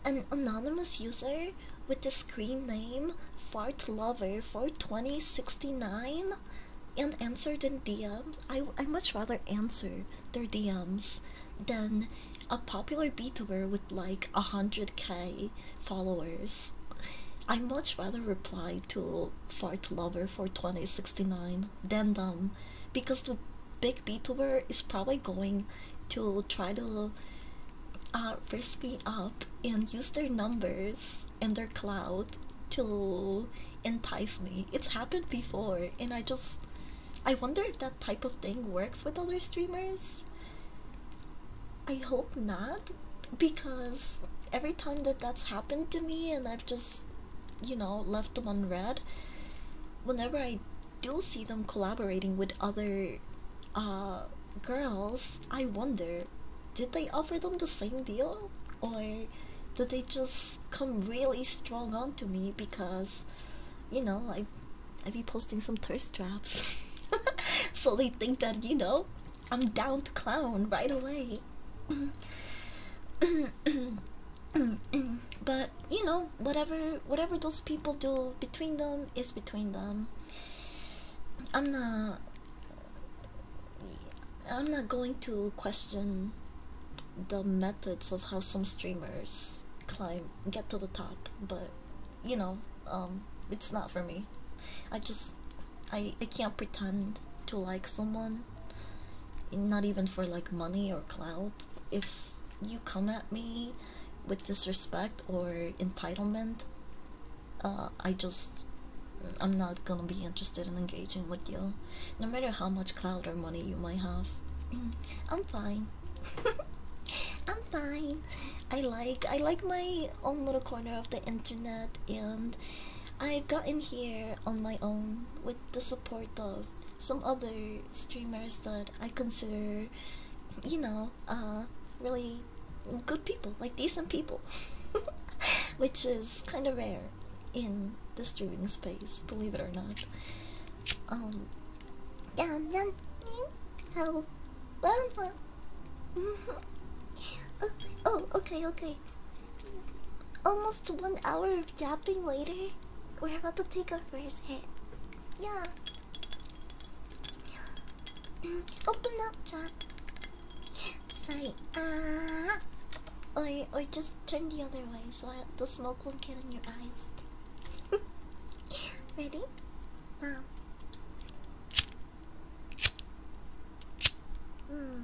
an anonymous user with the screen name Fart Lover Fart Twenty Sixty Nine and answer their DMs. I I much rather answer their DMs than a popular beater with like 100k followers. I would much rather reply to Fart Lover for 2069 Dendum because the big VTuber is probably going to try to uh, first me up and use their numbers and their cloud to entice me. It's happened before and I just I wonder if that type of thing works with other streamers. I hope not because every time that that's happened to me and I've just you know, left them unread. Whenever I do see them collaborating with other uh, girls, I wonder did they offer them the same deal? Or did they just come really strong onto me because, you know, I, I be posting some thirst traps. [LAUGHS] so they think that, you know, I'm down to clown right away. [COUGHS] but you know, whatever whatever those people do between them is between them. I'm not I'm not going to question the methods of how some streamers climb get to the top, but you know, um, it's not for me. I just I I can't pretend to like someone, not even for like money or cloud. If you come at me with disrespect or entitlement, uh, I just I'm not gonna be interested in engaging with you, no matter how much cloud or money you might have. [CLEARS THROAT] I'm fine. [LAUGHS] I'm fine. I like I like my own little corner of the internet and I've gotten here on my own with the support of some other streamers that I consider, you know, uh, really good people, like decent people, [LAUGHS] which is kind of rare in the streaming space, believe it or not. Um, yeah, yeah, how? Well, well. [LAUGHS] oh, okay, okay. Almost one hour of yapping later, we're about to take our first hit. Yeah. [GASPS] Open up, chat. Sorry. Ah. Or, or just turned the other way so the smoke won't get in your eyes. [LAUGHS] Ready? Now. Mm.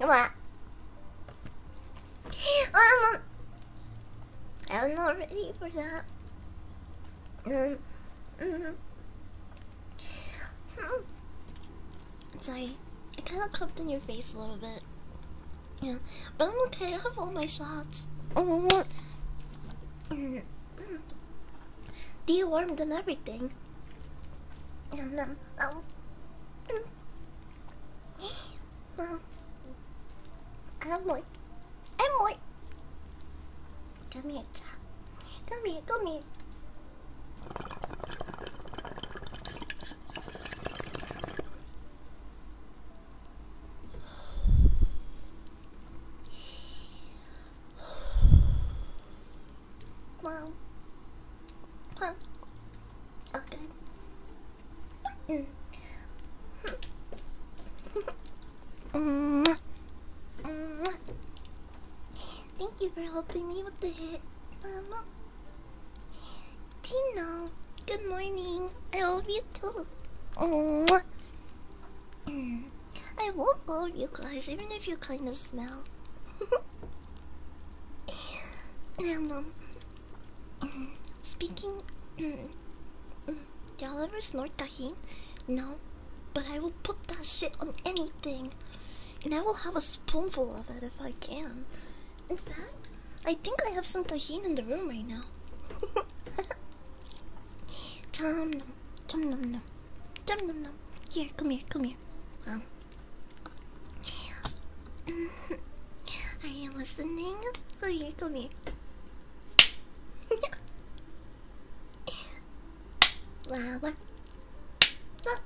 Come on. I'm not ready for that. Um, mm, mm. Sorry, I kind of clipped in your face a little bit. Yeah, but I'm okay. I have all my shots. Oh, mm. Dewormed and everything. Um, oh. um, I'm like, I'm like, come here, Jack. Come here, come here. Wow. Wow. Okay. Mm. Thank you for helping me with the hit, Mama. Tina, good morning. I love you too. I won't bore you guys, even if you kind of smell. and, [LAUGHS] um, speaking, [CLEARS THROAT] y'all ever snort tahin? No, but I will put that shit on anything, and I will have a spoonful of it if I can. In fact, I think I have some tahin in the room right now. [LAUGHS] Tom, Come num num. Dum num num. Here, come here, come here. I am listening? Come here, come here. wow, what? Ah.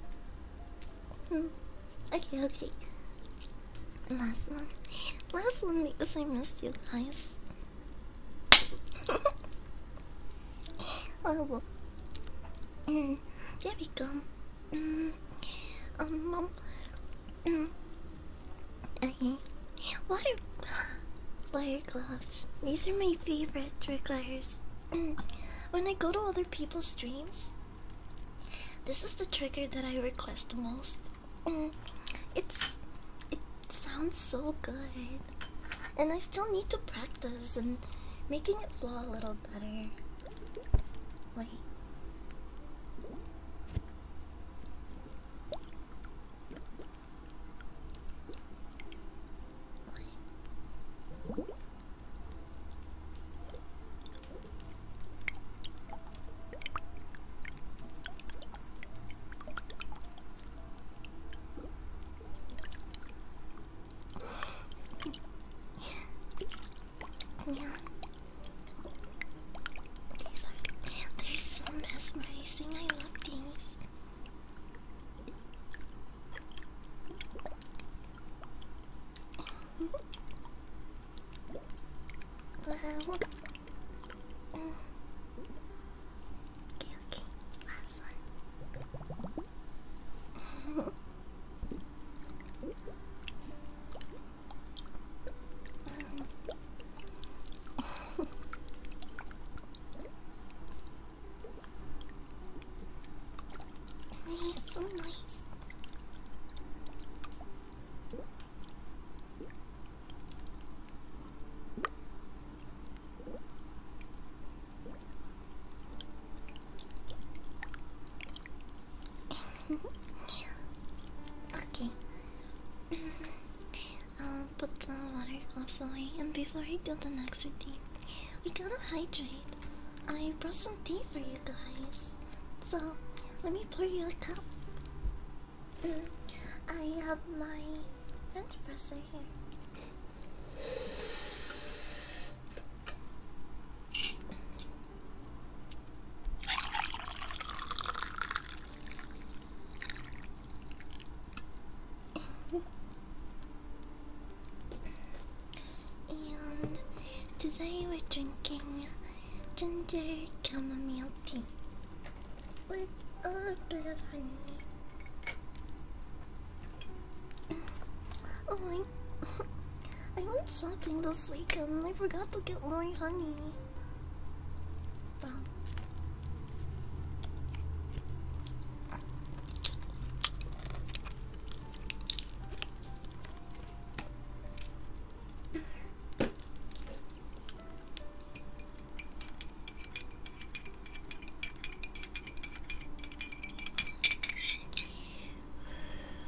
Okay, okay. Last one. Last one because I missed you guys. [LAUGHS] Horrible. Oh, mm, there we go. Mm, um, um, okay. Water, water gloves. These are my favorite triggers. Mm, when I go to other people's streams, this is the trigger that I request the most. Mm, it's it sounds so good. And I still need to practice and making it flow a little better. Wait. Yeah. These are they're so mesmerizing. I love these. Uh, well, uh, Okay, okay. Last one. It's so nice. [LAUGHS] okay. [LAUGHS] I'll put the water cups away, and before we do the next routine, we gotta hydrate. I brought some tea for you guys, so let me pour you a cup. Mm, I have my French presser here and today we're drinking ginger chamomile tea with a bit of honey. oh my. [LAUGHS] I went shopping this weekend and I forgot to get more honey.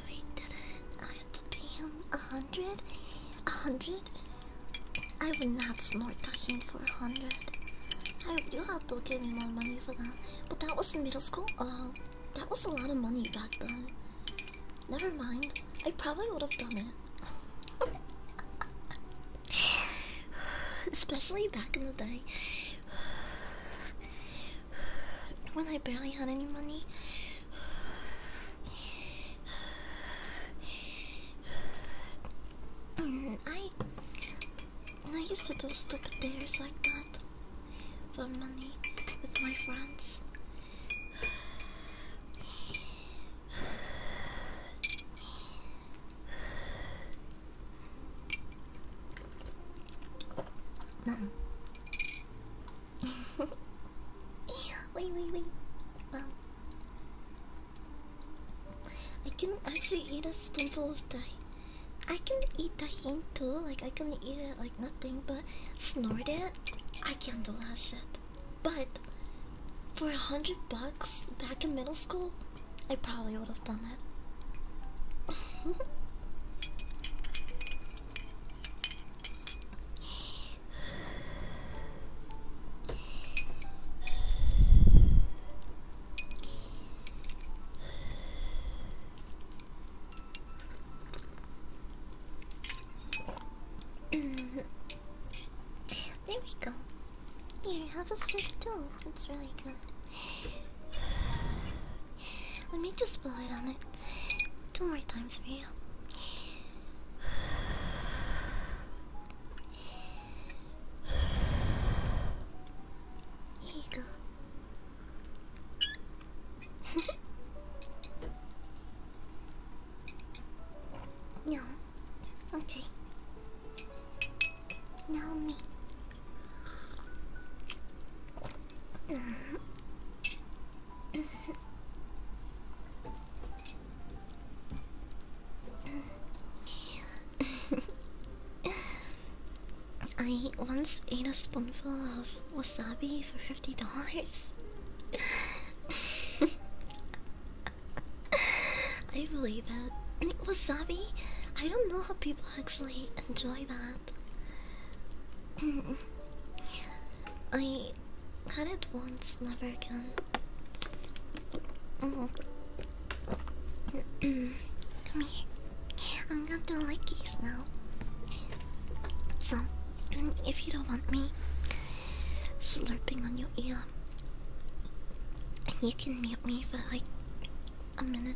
We did it. I had to pay him a hundred. A hundred? I would not snort at him for a hundred. You have to give me more money for that. But that was in middle school? Oh, that was a lot of money back then. Never mind. I probably would have done it. [LAUGHS] [SIGHS] Especially back in the day [SIGHS] when I barely had any money. [SIGHS] Mm, I I used to do stupid dares like that for money with my friends. Mom. [LAUGHS] wait, wait, wait. I can actually eat a spoonful of dye. I can eat tahini too, like I can eat it like nothing but snort it. I can't do that shit. But for a hundred bucks back in middle school, I probably would have done it. [LAUGHS] there we go. Here, have a sip too. It's really good. Let me just blow it on it two more times for you. Here go. Yum. [LAUGHS] Okay. Now me. [LAUGHS] I once ate a spoonful of wasabi for fifty dollars. [LAUGHS] [LAUGHS] I believe it. Wasabi? I don't know how people actually enjoy that. [CLEARS THROAT] I had it once, never again. Mm-hmm. [CLEARS THROAT] Come here. I'm gonna do lickies now. So, if you don't want me slurping on your ear, you can mute me for like a minute,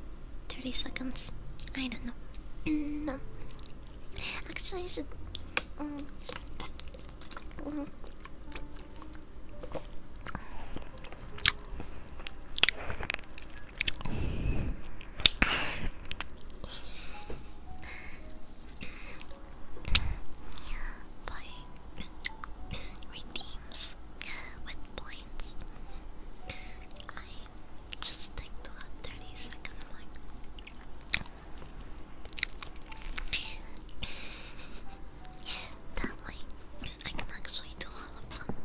30 seconds. I don't know. no. Actually, I should. Um, um, [SIGHS] Boy, with points. I just stick to a 30 second that way, I can actually do all of them.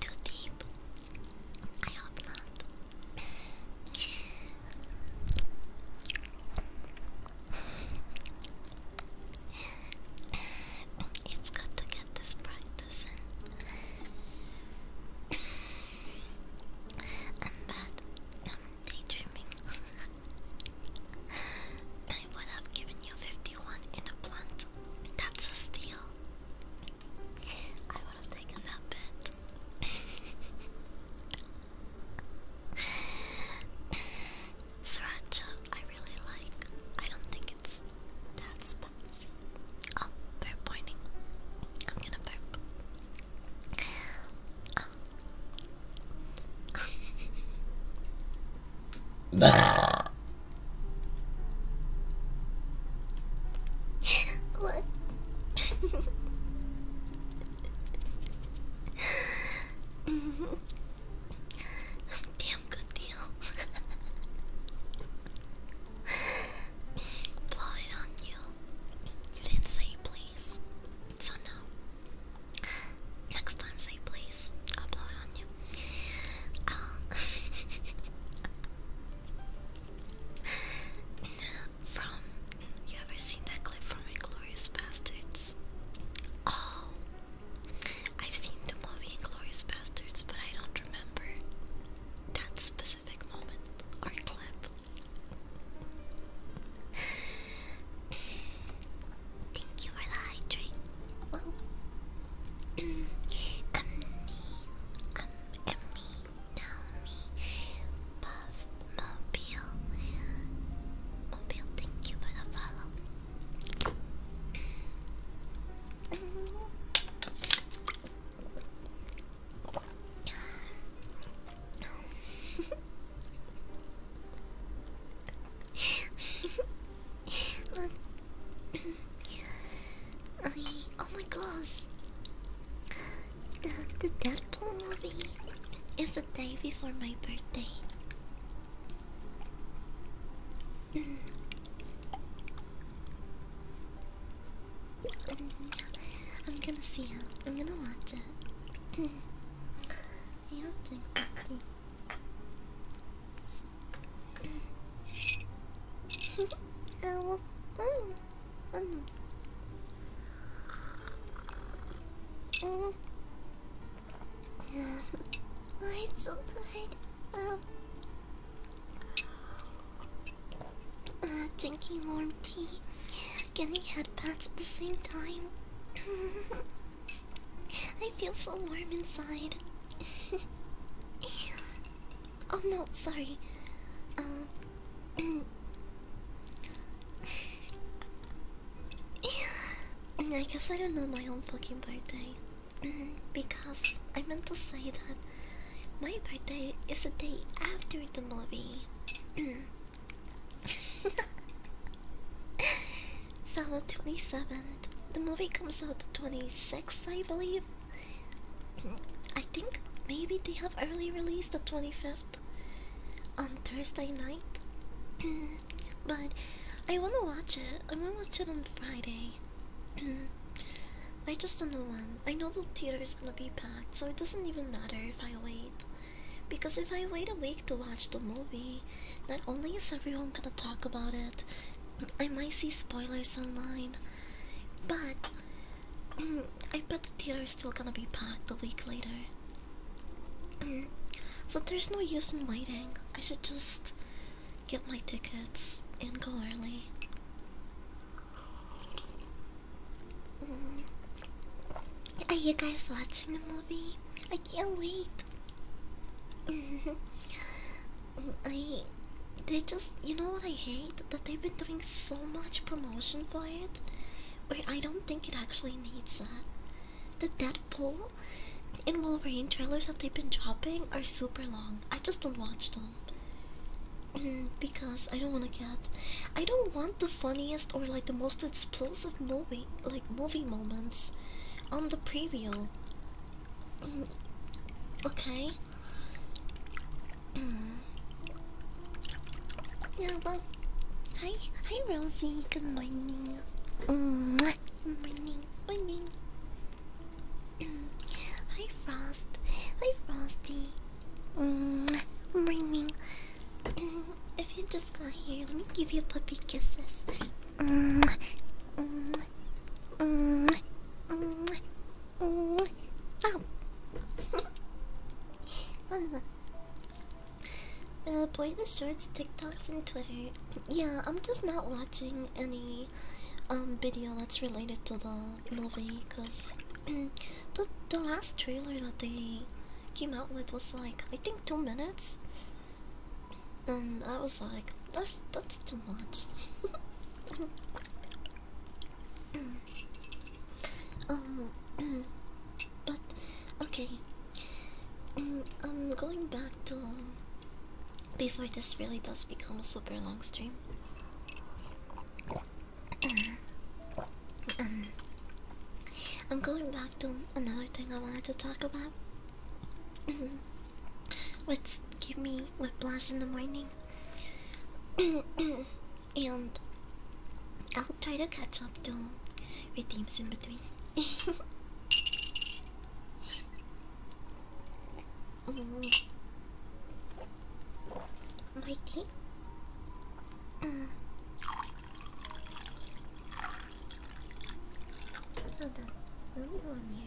Too deep. I hope not. it's good to get this practice in. I'm bad. I'm daydreaming. [LAUGHS] I would have given you 51 in a plant. That's a steal. I would have taken that bet. [LAUGHS] Sriracha, I really like. I don't think it's that spicy. Oh, burp warning. I'm gonna burp. [LAUGHS] what? Damn good deal. Blow it on you. You didn't say please. So no. Next time say please. I'll blow it on um, [LAUGHS] from you ever seen that clip from Inglorious Bastards? Oh, I've seen the movie Inglorious Bastards, but I don't remember that specific moment or clip. [SIGHS] Thank you for the hydrate. Well, come come at me, tell Mobile. Mobile, thank you for the follow. [LAUGHS] I, oh my gosh. The, the Deadpool movie is the day before my birthday. Mm. I'm gonna see it. I'm gonna watch it. yeah, [CLEARS THROAT] well, mm, mm. Mm. Um, oh, it's so good. Um, drinking warm tea, getting headpats at the same time. [LAUGHS] I feel so warm inside. [LAUGHS] oh no, sorry. Um. [CLEARS THROAT] I guess I don't know my own fucking birthday. [CLEARS THROAT] because I meant to say that my birthday is the day after the movie. [CLEARS THROAT] [LAUGHS] It's the 27th. The movie comes out 26th, I believe. I think maybe they have early release the 25th on Thursday night. [CLEARS THROAT] but I wanna watch it. i want to watch it on Friday. [CLEARS THROAT] I just don't know when. I know the theater is gonna be packed, so it doesn't even matter if I wait. Because if I wait a week to watch the movie, not only is everyone gonna talk about it, I might see spoilers online, but [CLEARS THROAT] I bet the theater is still gonna be packed a week later. [CLEARS THROAT] so there's no use in waiting. I should just get my tickets and go early. Mm. Are you guys watching the movie? I can't wait. [LAUGHS] I they just you know what I hate that they've been doing so much promotion for it where I don't think it actually needs that. The Deadpool and Wolverine trailers that they've been dropping are super long. I just don't watch them mm, because I don't want to get I don't want the funniest or like the most explosive movie like movie moments on the preview okay. [CLEARS THROAT] yeah, but hi, hi, Rosie. Good morning. Mm -hmm. Morning, morning. [CLEARS THROAT] hi, Frost. Hi, Frosty. Mm -hmm. Morning. [CLEARS THROAT] if you just got here, let me give you puppy kisses. Mm, mm, mm, mm, mm. Oh. uh, boy, the shorts, TikToks, and Twitter. Yeah, I'm just not watching any um video that's related to the movie, cause [CLEARS THROAT] the the last trailer that they came out with was like I think two minutes, and I was like, that's that's too much. [LAUGHS] um, [CLEARS THROAT] but okay, I'm going back to before this really does become a super long stream. [CLEARS THROAT] um, I'm going back to another thing I wanted to talk about. [CLEARS THROAT] Let's give me whiplash in the morning. [COUGHS] and I'll try to catch up to redeems in between. mm. My tea. Mm. Hold on, what on here?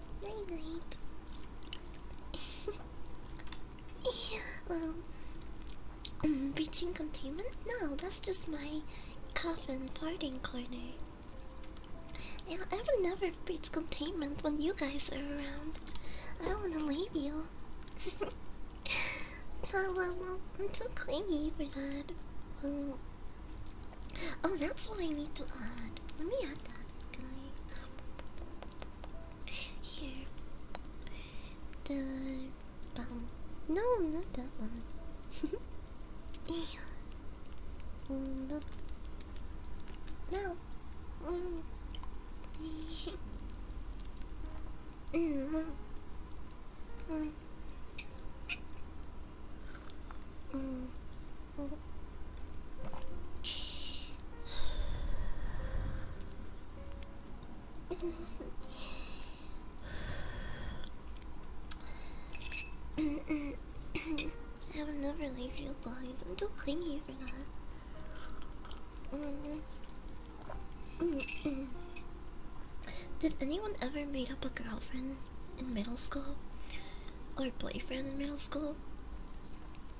Night night. well, um, breaching containment? No, that's just my coffin farting corner. Yeah, I would never breach containment when you guys are around. I don't want to leave you. no, [LAUGHS] well, well, I'm too clingy for that. Um, Oh, that's what I need to add. Let me add that. Can I? Here. The bum. No, not that one. [LAUGHS] mm, not... No. Mm. [LAUGHS] mm. mm. Mm. Mm. I would never leave you behind. I'm too clingy for that. Did anyone ever meet up a girlfriend in middle school? or boyfriend in middle school.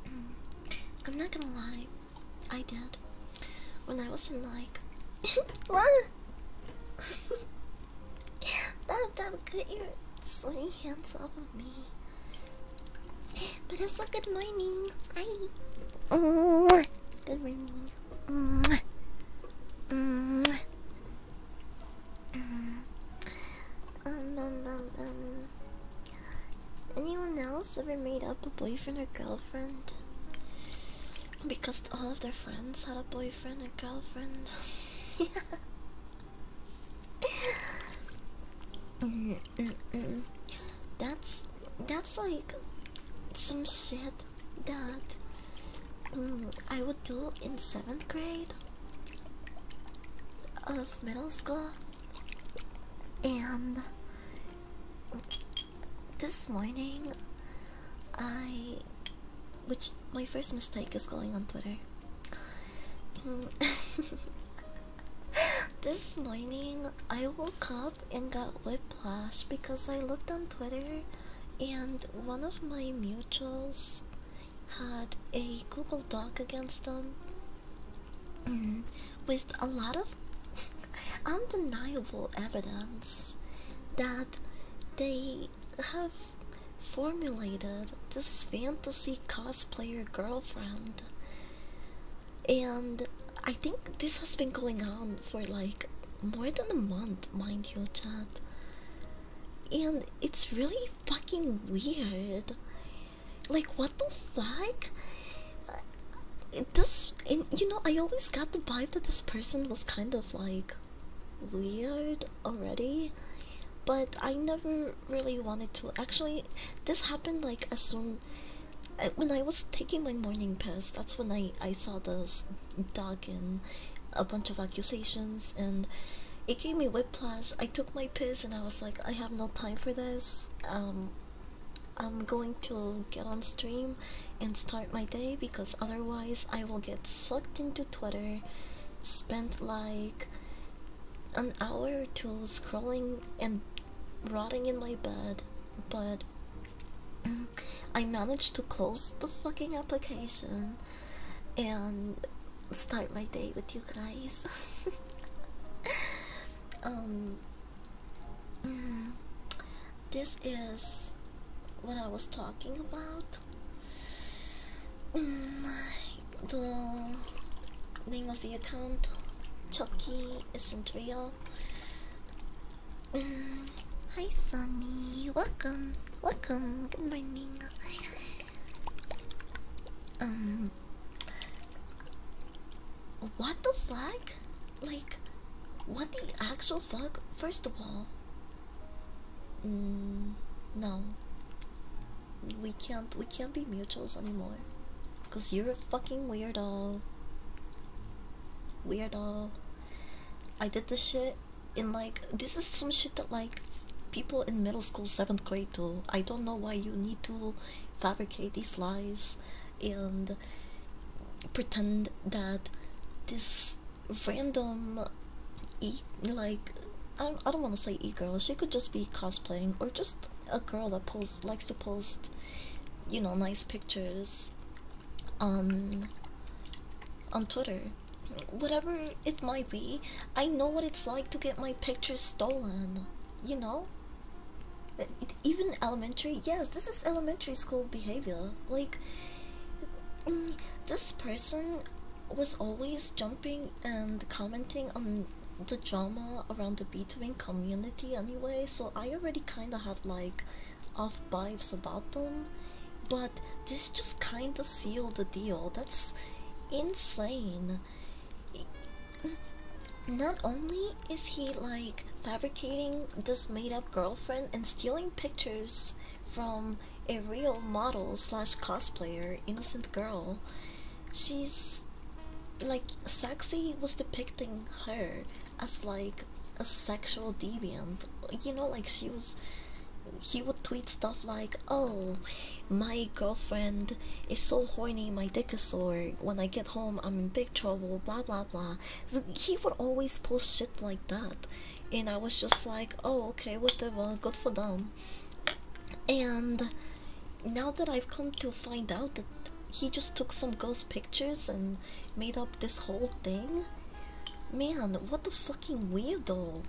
Mm. I'm not gonna lie, I did. When I was in like, what? [COUGHS] [LAUGHS] that that cut your sweaty hands off of me. But it's a good morning. Hi. Good morning. -hmm um, um, um, um. Anyone else ever made up a boyfriend or girlfriend? Because all of their friends had a boyfriend and girlfriend. [LAUGHS] Mm, mm, mm. That's that's like some shit that I would do in seventh grade of middle school, and this morning I. Which my first mistake is going on Twitter. [LAUGHS] this morning I woke up and got whiplash because I looked on Twitter and one of my mutuals had a Google Doc against them mm-hmm. with a lot of [LAUGHS] undeniable evidence that they have formulated this fantasy cosplayer girlfriend. And I think this has been going on for like more than a month, mind you, Chad and it's really fucking weird. Like, what the fuck? This, and you know, I always got the vibe that this person was kind of like weird already, but I never really wanted to. Actually, this happened like as soon uh, when I was taking my morning piss. That's when I I saw this dog and a bunch of accusations and it gave me whiplash. I took my piss and I was like, I have no time for this. Um, I'm going to get on stream and start my day because otherwise I will get sucked into Twitter, spent like an hour or two scrolling and rotting in my bed. But [CLEARS THROAT] I managed to close the fucking application and start my day with you guys. [LAUGHS] um, mm, this is what I was talking about. Mm, the name of the account, Chucky, isn't real. Mm, hi, Sunny. Welcome. Welcome. Good morning. [LAUGHS] Um. What the fuck? Like, what the actual fuck? First of all, mm, no. We can't. We can't be mutuals anymore. Cause you're a fucking weirdo. Weirdo. I did this shit in like. This is some shit that like people in middle school, seventh grade do. I don't know why you need to fabricate these lies and pretend that this random e like I don't, I don't want to say e-girl. She could just be cosplaying or just a girl that posts likes to post, you know, nice pictures on on Twitter. Whatever it might be, I know what it's like to get my pictures stolen, you know? Even elementary, yes, this is elementary school behavior. Like, mm, this person was always jumping and commenting on the drama around the b community anyway, so I already kinda had like off vibes about them. But this just kinda sealed the deal. That's insane. Not only is he like fabricating this made-up girlfriend and stealing pictures from a real model slash cosplayer, innocent girl, she's like sexy was depicting her as like a sexual deviant. You know, like she was. He would tweet stuff like, "Oh, my girlfriend is so horny, my dick is sore. When I get home, I'm in big trouble. Blah blah blah. He would always post shit like that, and I was just like, oh okay, whatever, good for them. And now that I've come to find out that he just took some girls' pictures and made up this whole thing, man, what the fucking weirdo.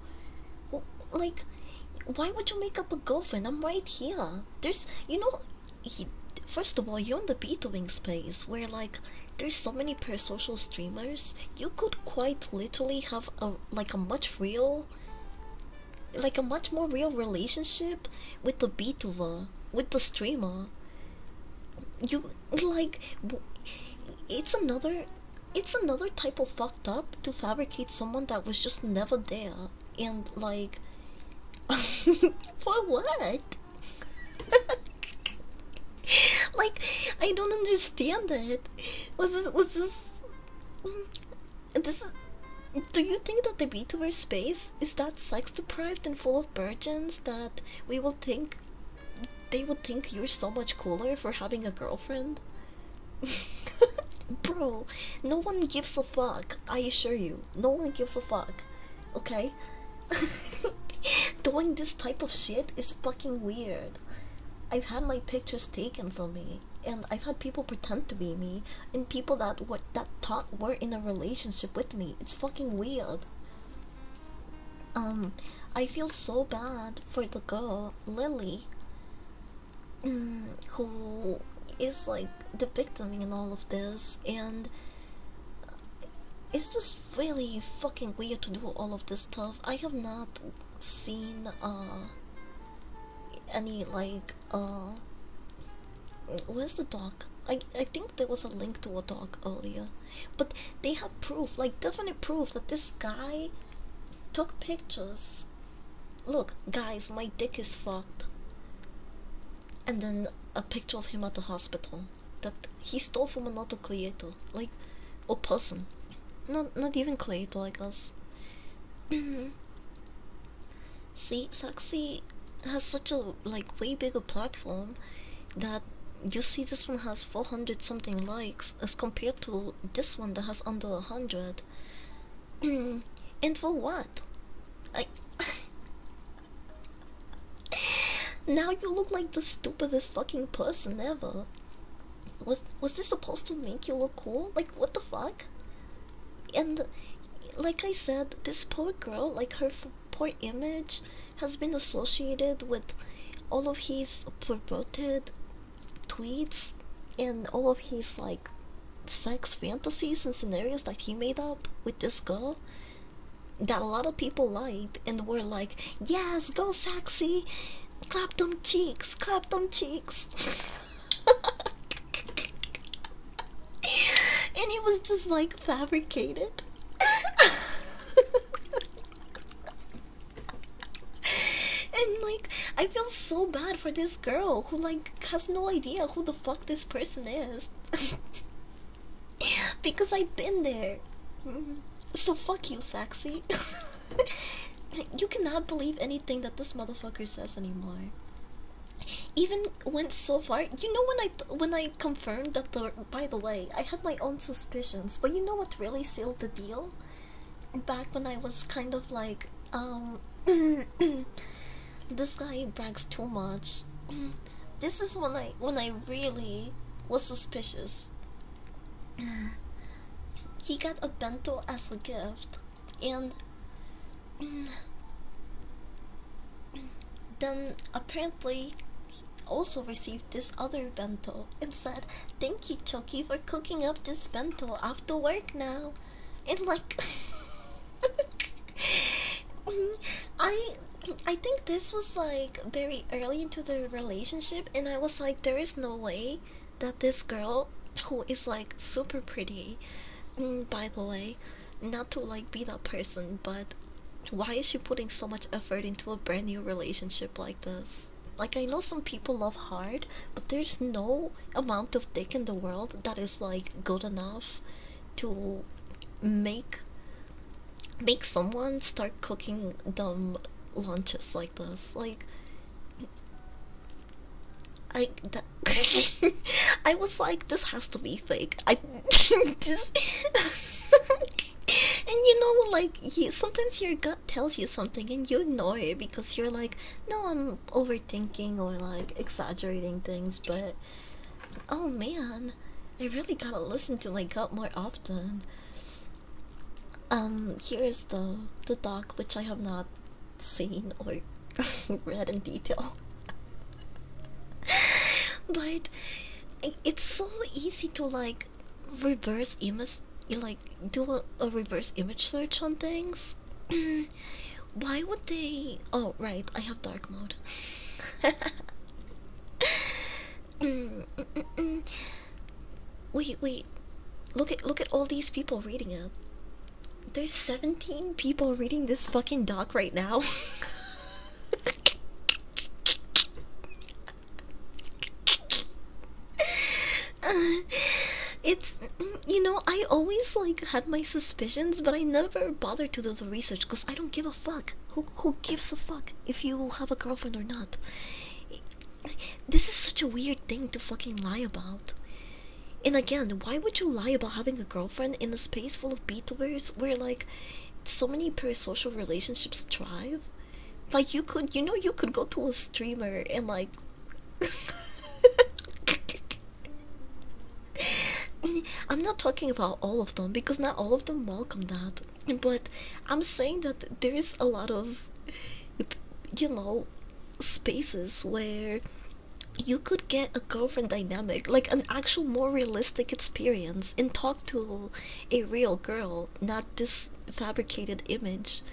like, why would you make up a girlfriend? I'm right here. There's, you know, first of all, you're in the beetling space where, like, there's so many parasocial streamers. You could quite literally have a like a much real, like a much more real relationship with the beetler, with the streamer. You like, it's another. It's another type of fucked up to fabricate someone that was just never there and like [LAUGHS] for what? [LAUGHS] like I don't understand it. Was this was this this do you think that the VTuber space is that sex deprived and full of virgins that we will think they would think you're so much cooler for having a girlfriend? [LAUGHS] Bro, no one gives a fuck. I assure you, no one gives a fuck. Okay? [LAUGHS] Doing this type of shit is fucking weird. I've had my pictures taken from me, and I've had people pretend to be me, and people that were that thought were in a relationship with me. It's fucking weird. Um, I feel so bad for the girl, Lily. Mm, who is like the victim in all of this, and it's just really fucking weird to do all of this stuff. I have not seen uh, any like uh, where's the doc? I I think there was a link to a doc earlier, but they have proof, like definite proof, that this guy took pictures Look, guys, my dick is fucked. And then a picture of him at the hospital that he stole from another creator, like, a possum, Not, not even creator, like us. See, sexy has such a like way bigger platform that you see this one has 400 something likes as compared to this one that has under 100 [CLEARS THROAT] and for what? Like [LAUGHS] now you look like the stupidest fucking person ever. Was was this supposed to make you look cool? Like what the fuck? And like I said, this poor girl, like her poor image, has been associated with all of his perverted tweets and all of his like sex fantasies and scenarios that he made up with this girl that a lot of people liked and were like, Yes, go sexy, clap them cheeks, clap them cheeks. [LAUGHS] and it was just like fabricated. [LAUGHS] and like I feel so bad for this girl who like has no idea who the fuck this person is. [LAUGHS] because I've been there. So fuck you, sexy. [LAUGHS] you cannot believe anything that this motherfucker says anymore. Even went so far. You know when I when I confirmed that the by the way, I had my own suspicions, but you know what really sealed the deal? Back when I was kind of like um [COUGHS] this guy brags too much. [COUGHS] this is when I when I really was suspicious. [COUGHS] he got a bento as a gift, and then apparently also received this other bento and said, "Thank you, Chucky, for cooking up this bento Off after work now." and like [LAUGHS] I I think this was like very early into the relationship and I was like there is no way that this girl who is like super pretty mm, by the way not to like be that person but why is she putting so much effort into a brand new relationship like this like I know some people love hard but there's no amount of dick in the world that is like good enough to make make someone start cooking dumb lunches like this like I that [LAUGHS] I was like this has to be fake I [LAUGHS] just [LAUGHS] and you know like you sometimes your gut tells you something and you ignore it because you're like no I'm overthinking or like exaggerating things, but oh man, I really gotta listen to my gut more often. Um, here is the the doc which I have not seen or [LAUGHS] read in detail. [LAUGHS] but it's so easy to like reverse image, like do a reverse image search on things. [CLEARS THROAT] Why would they? Oh, right, I have dark mode. [LAUGHS] Mm, mm, mm, wait, wait. Look at look at all these people reading it. There's 17 people reading this fucking doc right now. [LAUGHS] Uh, it's you know, I always like had my suspicions, but I never bothered to do the research because I don't give a fuck. Who who gives a fuck if you have a girlfriend or not? This is such a weird thing to fucking lie about. And again, why would you lie about having a girlfriend in a space full of beetubers where like so many parasocial relationships thrive? Like you could, you know, you could go to a streamer and like. [LAUGHS] [LAUGHS] I'm not talking about all of them because not all of them welcome that, but I'm saying that there is a lot of, you know, spaces where you could get a girlfriend dynamic, like an actual more realistic experience, and talk to a real girl, not this fabricated image. [LAUGHS]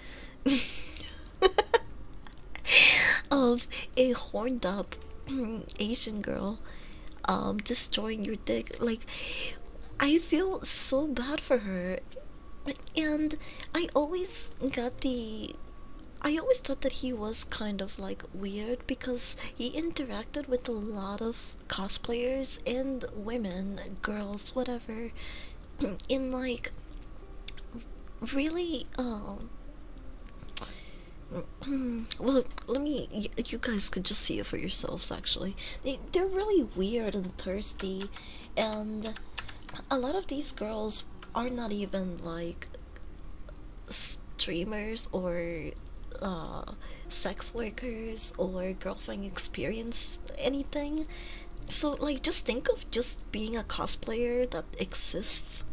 [LAUGHS] of a horned up [CLEARS THROAT] Asian girl um destroying your dick. Like I feel so bad for her. And I always got the I always thought that he was kind of like weird because he interacted with a lot of cosplayers and women, girls, whatever, [CLEARS THROAT] in like really um [CLEARS THROAT] well, let me. You, guys could just see it for yourselves. Actually, they they're really weird and thirsty, and a lot of these girls are not even like streamers or uh, sex workers or girlfriend experience anything. So like, just think of just being a cosplayer that exists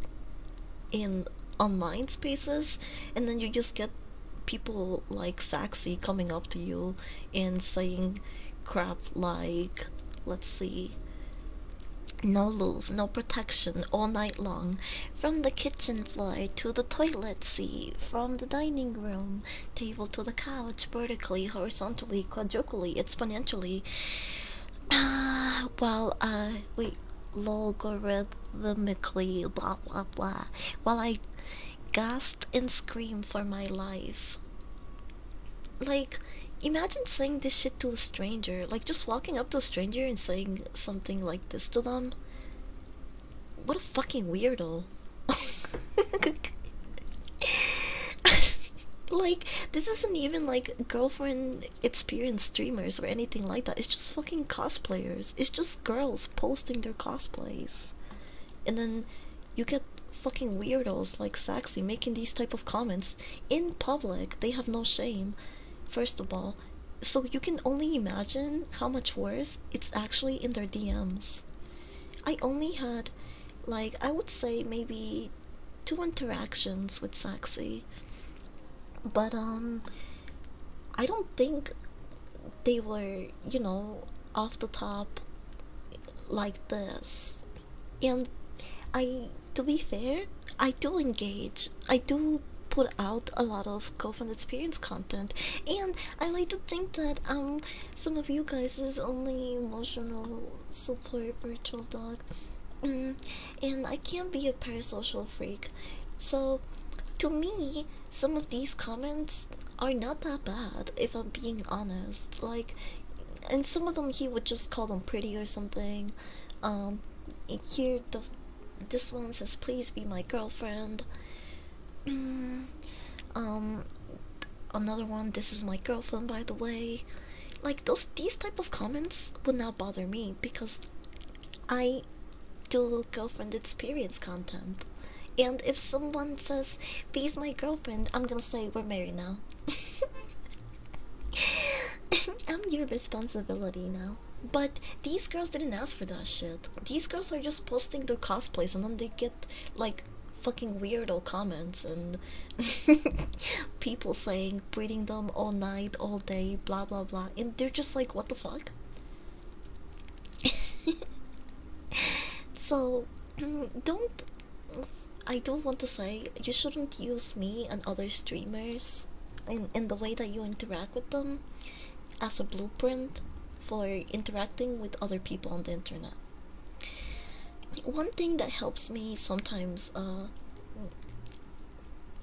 in online spaces and then you just get people like sexy coming up to you and saying crap like let's see no love, no protection all night long. From the kitchen floor to the toilet seat, from the dining room table to the couch, vertically, horizontally, quadruply, exponentially. [SIGHS] While I, uh, we logarithmically, blah blah blah. While I gasped and screamed for my life. Like, imagine saying this shit to a stranger. Like, just walking up to a stranger and saying something like this to them. What a fucking weirdo. [LAUGHS] like, this isn't even like girlfriend experienced streamers or anything like that. It's just fucking cosplayers. It's just girls posting their cosplays. And then you get fucking weirdos like Saxy making these type of comments in public. They have no shame, first of all. So you can only imagine how much worse it's actually in their DMs. I only had, like, I would say maybe two interactions with sexy, But um I don't think they were, you know, off the top like this. And I to be fair, I do engage. I do put out a lot of girlfriend experience content and I like to think that um some of you guys is only emotional support virtual dog and I can't be a parasocial freak. So, to me, some of these comments are not that bad, if I'm being honest. Like, and some of them he would just call them pretty or something. Um, here, the, this one says, please be my girlfriend. Mm, um, another one, this is my girlfriend, by the way like those these type of comments would not bother me because I do girlfriend experience content. And if someone says, he's my girlfriend, I'm gonna say we're married now. [LAUGHS] I'm your responsibility now. But these girls didn't ask for that shit. These girls are just posting their cosplays and then they get like fucking weirdo comments and [LAUGHS] people saying breeding them all night, all day, blah blah blah, and they're just like, what the fuck? [LAUGHS] so [CLEARS THROAT] don't I don't want to say you shouldn't use me and other streamers in, in the way that you interact with them as a blueprint for interacting with other people on the internet. One thing that helps me sometimes uh,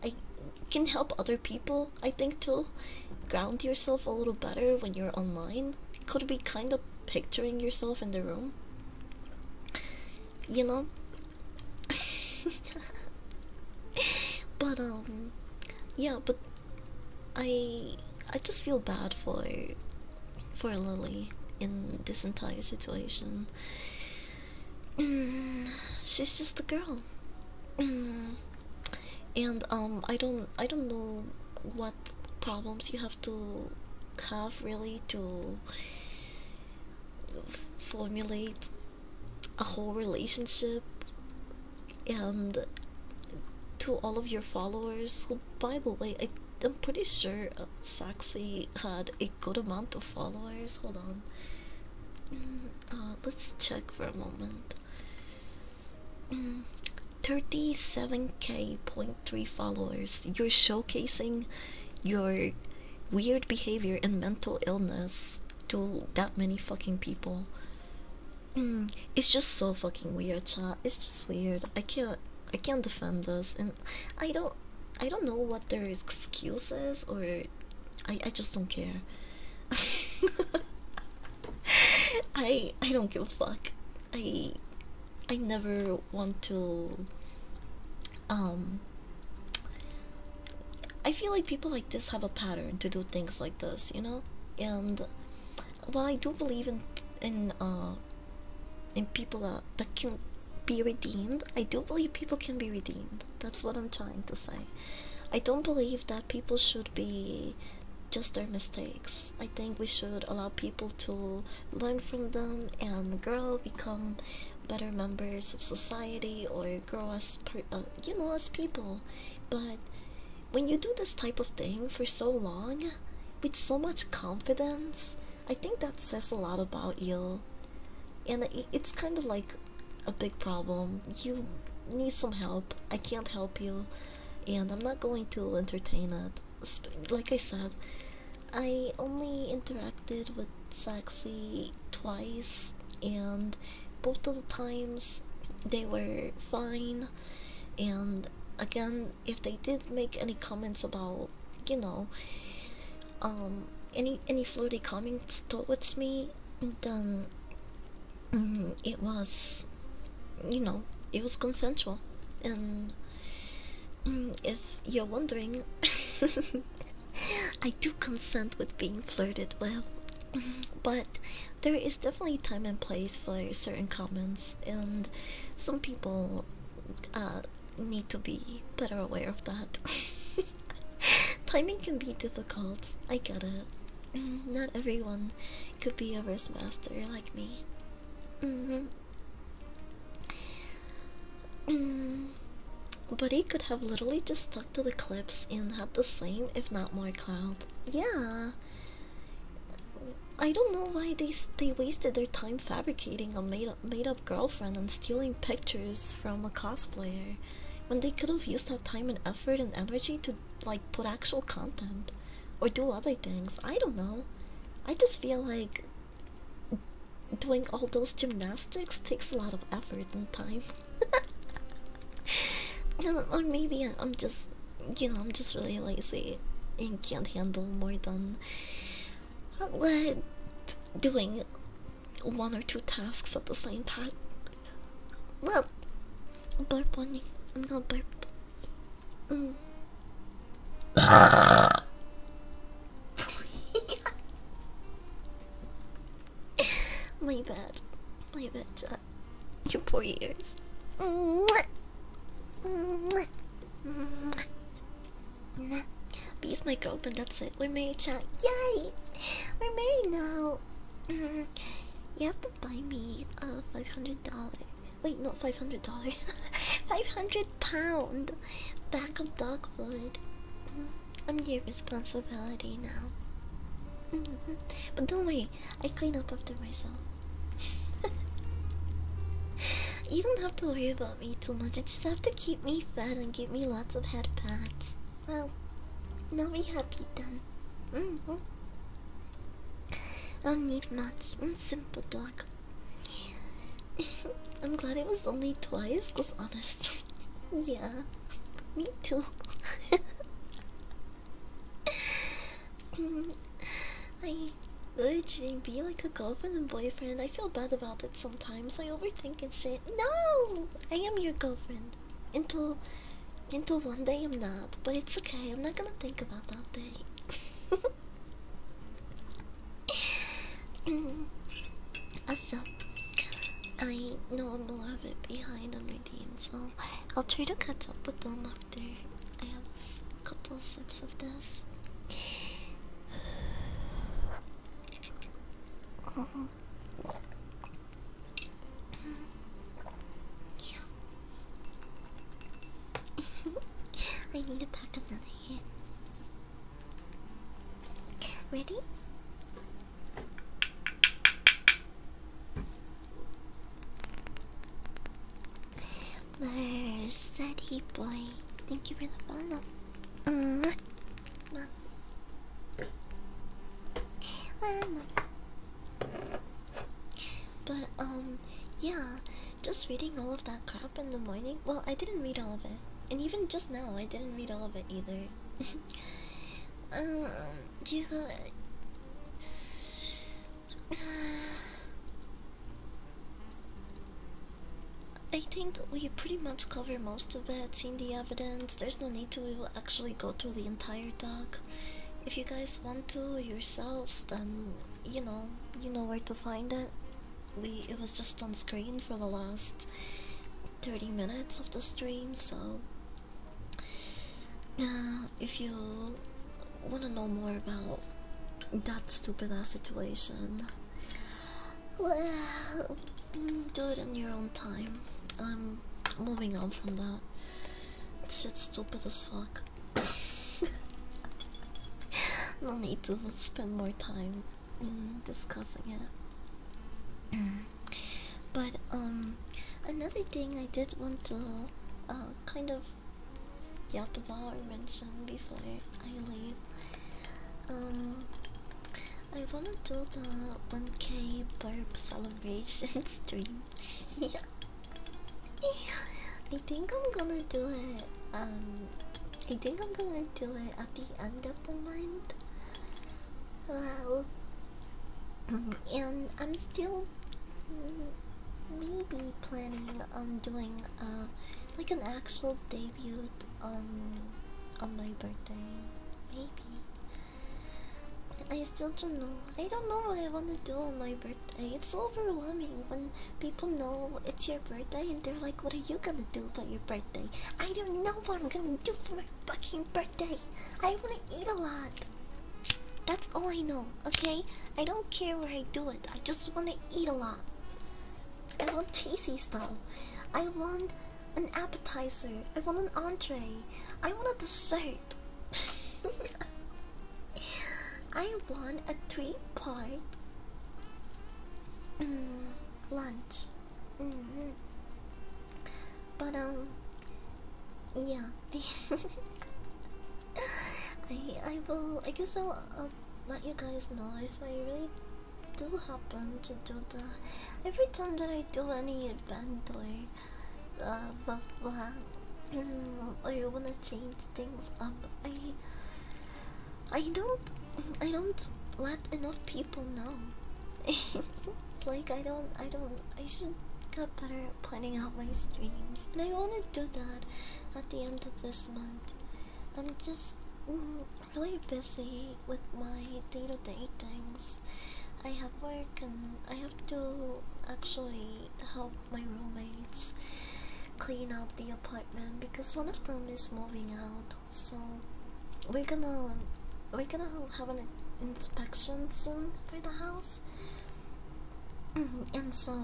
I can help other people, I think, to ground yourself a little better when you're online. Could be kind of picturing yourself in the room, you know. [LAUGHS] but um, yeah, but I I just feel bad for for Lily in this entire situation. Mm, she's just a girl. Mm. and um I don't I don't know what problems you have to have really to formulate a whole relationship and to all of your followers who by the way I, i'm pretty sure uh, had a good amount of followers hold on Mm, uh, let's check for a moment. 37k mm, point three followers. You're showcasing your weird behavior and mental illness to that many fucking people. Mm, it's just so fucking weird, chat. It's just weird. I can't. I can't defend this, and I don't. I don't know what their excuse is, or I I just don't care. [LAUGHS] I I don't give a fuck. I I never want to. Um. I feel like people like this have a pattern to do things like this, you know. And while I do believe in in uh in people that, that can be redeemed, I do believe people can be redeemed. That's what I'm trying to say. I don't believe that people should be just their mistakes. I think we should allow people to learn from them and grow, become better members of society, or grow as per, uh, you know as people. But when you do this type of thing for so long, with so much confidence, I think that says a lot about you. And it's kind of like a big problem. You need some help. I can't help you, and I'm not going to entertain it. Like I said, I only interacted with sexy twice, and both of the times they were fine. And again, if they did make any comments about, you know, um any any flirty comments towards me, then mm, it was, you know, it was consensual. And mm, if you're wondering, [LAUGHS] I do consent with being flirted with, but there is definitely time and place for certain comments, and some people uh, need to be better aware of that. [LAUGHS] [LAUGHS] Timing can be difficult. I get it. Mm, not everyone could be a verse master like me. Mm-hmm. Mm, but he could have literally just stuck to the clips and had the same, if not more, cloud. Yeah. I don't know why they they wasted their time fabricating a made up made up girlfriend and stealing pictures from a cosplayer when they could have used that time and effort and energy to like put actual content or do other things. I don't know. I just feel like doing all those gymnastics takes a lot of effort and time. [LAUGHS] or maybe I'm just, you know, I'm just really lazy and can't handle more than uh, doing one or two tasks at the same time. Well, burp on I'm gonna burp. Mm. [LAUGHS] My bad. My bad, you poor ears. Bees my girlfriend, that's it. We're married chat. Yay! We're married now. Mm-hmm. you have to buy me a five hundred dollar. Wait, not five hundred dollar. [LAUGHS] five hundred pound back of dog food. Mm-hmm. I'm your responsibility now. Mm-hmm. But don't worry, I clean up after myself. [LAUGHS] you don't have to worry about me too much. You just have to keep me fed and give me lots of head pats. Well, now we happy then. Mm I don't need much. I'm simple dog. [LAUGHS] I'm glad it was only twice, cause honest. [LAUGHS] yeah, me too. [LAUGHS] I literally be like a girlfriend and boyfriend. I feel bad about it sometimes. I overthink and shit. No, I am your girlfriend until until one day I'm not, but it's okay. I'm not gonna think about that day. [LAUGHS] also, I know I'm a little bit behind on redeem, so I'll try to catch up with them after I have a couple of sips of this. [SIGHS] Uh-huh. [LAUGHS] I need to pack another hit. Ready? Mercedes boy, thank you for the follow but um, yeah, just reading all of that crap in the morning. Well, I didn't read all of it, and even just now, I didn't read all of it either. [LAUGHS] um, do you [SIGHS] I think we pretty much covered most of it. Cindy, there's no need to we will actually go through the entire doc. If you guys want to yourselves, then you know you know where to find it. We it was just on screen for the last 30 minutes of the stream, so now, uh, if you want to know more about that stupid ass situation, well, do it in your own time. I'm moving on from that. Shit's stupid as fuck. [LAUGHS] no need to spend more time mm, discussing it. but um, another thing I did want to uh, kind of yap about or mention before I leave. Um, I wanna do the 1k burp celebration [LAUGHS] stream. yeah. I think I'm gonna do it. Um, I think I'm gonna do it at the end of the month. Mm-hmm. and I'm still mm, maybe planning on doing uh like an actual debut on on my birthday. Maybe I still don't know. I don't know what I want to do on my birthday. It's overwhelming when people know it's your birthday and they're like, What are you gonna do for your birthday? I don't know what I'm gonna do for my fucking birthday. I wanna eat a lot. That's all I know, okay? I don't care where I do it. I just wanna eat a lot. I want cheesy stuff. I want an appetizer. I want an entree. I want a dessert. [LAUGHS] I want a three part mm, lunch. Mm-hmm. But, um, yeah. [LAUGHS] I, I will, I guess I'll, I'll let you guys know if I really do happen to do that. Every time that I do any Bandor, uh, blah blah. or you mm, wanna change things up? I, I don't, I don't let enough people know. [LAUGHS] like I don't, I don't. I should get better at planning out my streams, and I wanna do that at the end of this month. I'm just mm, really busy with my day to -day things I have work and I have to actually help my roommates clean up the apartment because one of them is moving out. So we're gonna we're gonna have an inspection soon for the house, [CLEARS THROAT] and so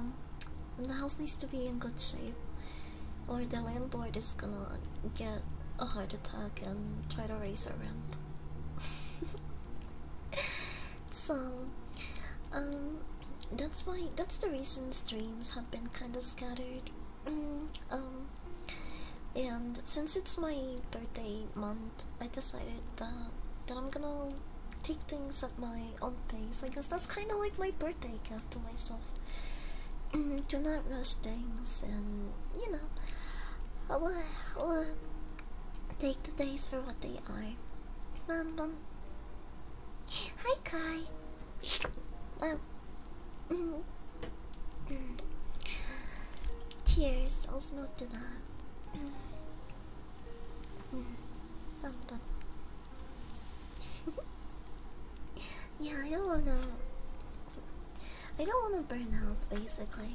the house needs to be in good shape, or the landlord is gonna get a heart attack and try to raise her rent. [LAUGHS] so, um, that's why that's the reason streams have been kind of scattered. Mm, um, and since it's my birthday month, I decided that that I'm gonna take things at my own pace. I guess that's kind of like my birthday gift to myself. to mm, not rush things, and you know, I will, take the days for what they are. Bum, bum. Hi, Kai. Well, cheers. Mm-hmm. I'll smoke to that. Bum, bum. [LAUGHS] yeah, you know. I don't want to burn out, basically.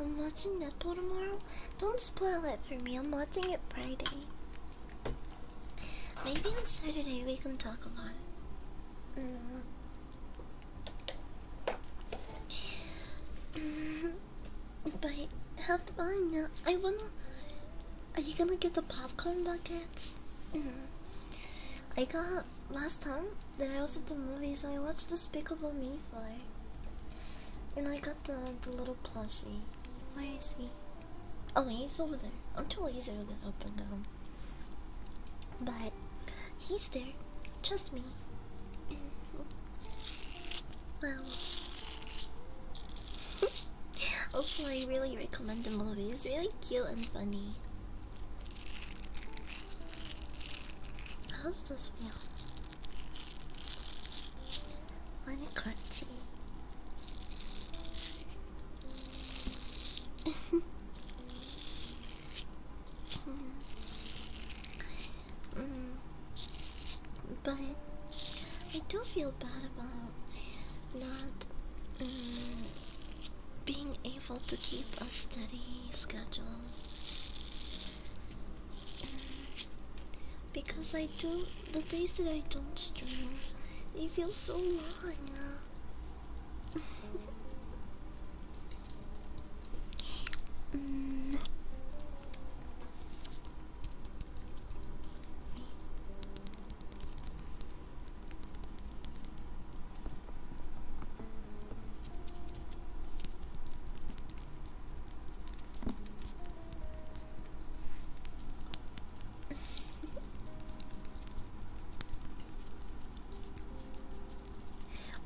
I'm watching Netball tomorrow. Don't spoil it for me. I'm watching it Friday. Maybe on Saturday we can talk about it. Mm. [LAUGHS] but have fun. Now. I wanna. Are you gonna get the popcorn buckets? Mm-hmm. I got last time that I was at the movies. I watched Despicable Me fly, and I got the, little plushie. Where is he? Oh, he's over there. I'm too lazy to get up But he's there. Trust me. wow. [LAUGHS] also, I really recommend the movie. It's really cute and funny. How does this feel? What a crunchy. mm. But I do feel bad about not um, being able to keep a steady schedule. Because I do the days that I don't stream, they feel so long. Uh. Mm. [LAUGHS]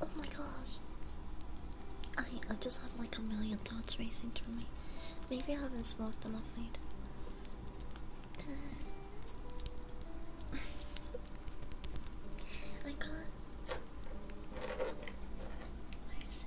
oh my gosh. I I just have like a million thoughts racing through me. Maybe I haven't smoked enough [SIGHS] weed. I got. Where is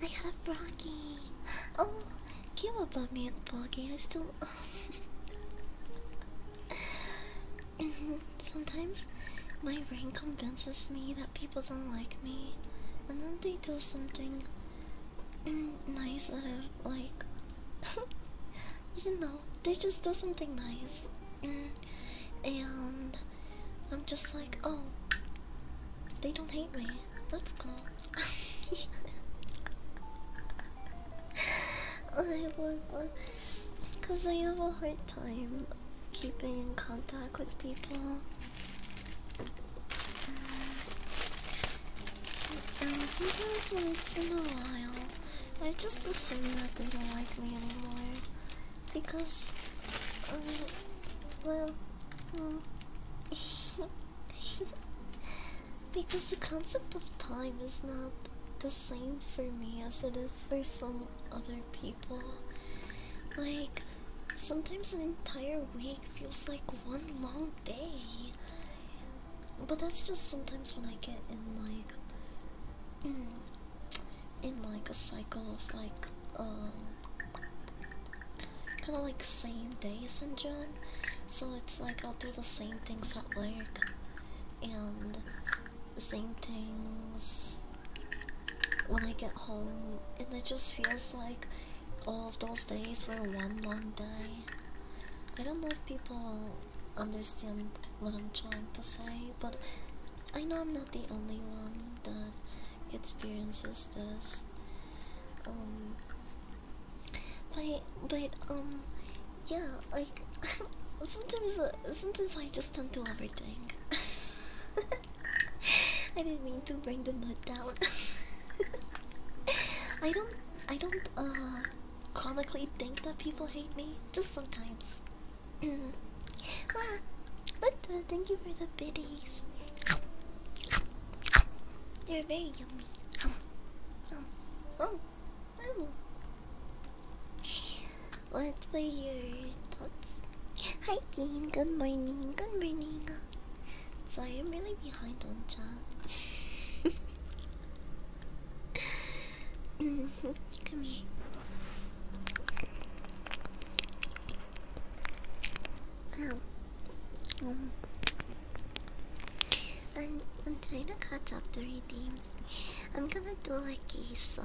I got a froggy. Oh, give up on me, froggy. I still. [LAUGHS] Sometimes my brain convinces me that people don't like me, and then they do something nice that I like. [LAUGHS] you know, they just do something nice and I'm just like, oh, they don't hate me. That's cool. [LAUGHS] I because I have a hard time keeping in contact with people. And sometimes when it's been a while, I just assume that they don't like me anymore because, um, well, um, [LAUGHS] because the concept of time is not the same for me as it is for some other people. Like, sometimes an entire week feels like one long day. But that's just sometimes when I get in, like, [CLEARS THROAT] in like a cycle of like um kind of like same days and syndrome. So it's like I'll do the same things at work and the same things when I get home, and it just feels like all of those days were one long day. I don't know if people understand what I'm trying to say, but I know I'm not the only one that experiences this. Um but but um yeah, like [LAUGHS] sometimes uh, sometimes I just tend to everything. [LAUGHS] I didn't mean to bring the mood down. [LAUGHS] I don't I don't uh chronically think that people hate me, just sometimes wow, Lutwa, uh, thank you for the biddies. They're very yummy. Um, oh, oh. What were your thoughts? Hi, Keen. Good morning. Good morning. Sorry, I'm really behind on chat. [LAUGHS] Come here. Um, I'm, I'm trying to catch up the redeems. I'm gonna do lickies, so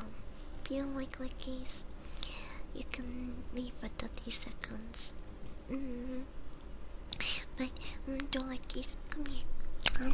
if you don't like lickies, you can leave for 30 seconds. Mm-hmm. But I'm gonna do lickies. Come here.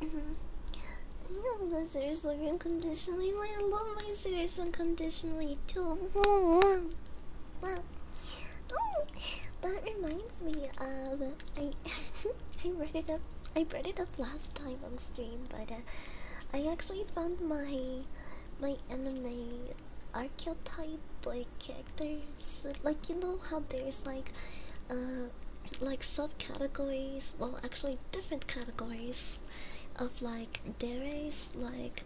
Mm -hmm. I love the series living unconditionally. I love my series unconditionally too. But Oh, that reminds me of I [LAUGHS] I read it up I read it up last time on stream, but uh, I actually found my my anime archetype like characters like you know how there's like uh like subcategories well actually different categories of like deres, like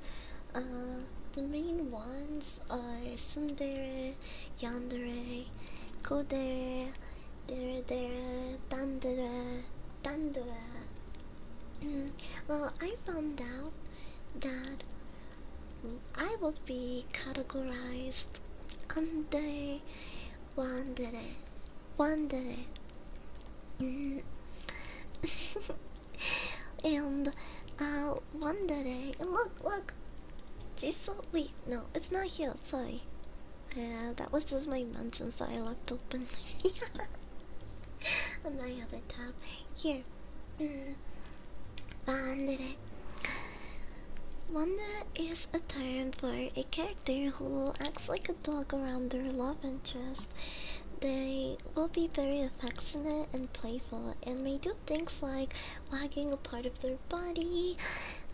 uh, the main ones are Sundere, Yandere, Kodere, Dere Dere, Dandere, Dandere. Mm, well, I found out that I would be categorized under Wandere, wandere. Mm. [LAUGHS] and uh, wandere. Look, look. She's so weak. No, it's not here. Sorry. Uh, that was just my mansions that I locked open. On [LAUGHS] my other tab. Here. Mm. Wandere. is a a term for a character who acts like a dog around their love interest. They will be very affectionate and playful and may do things like wagging a part of their body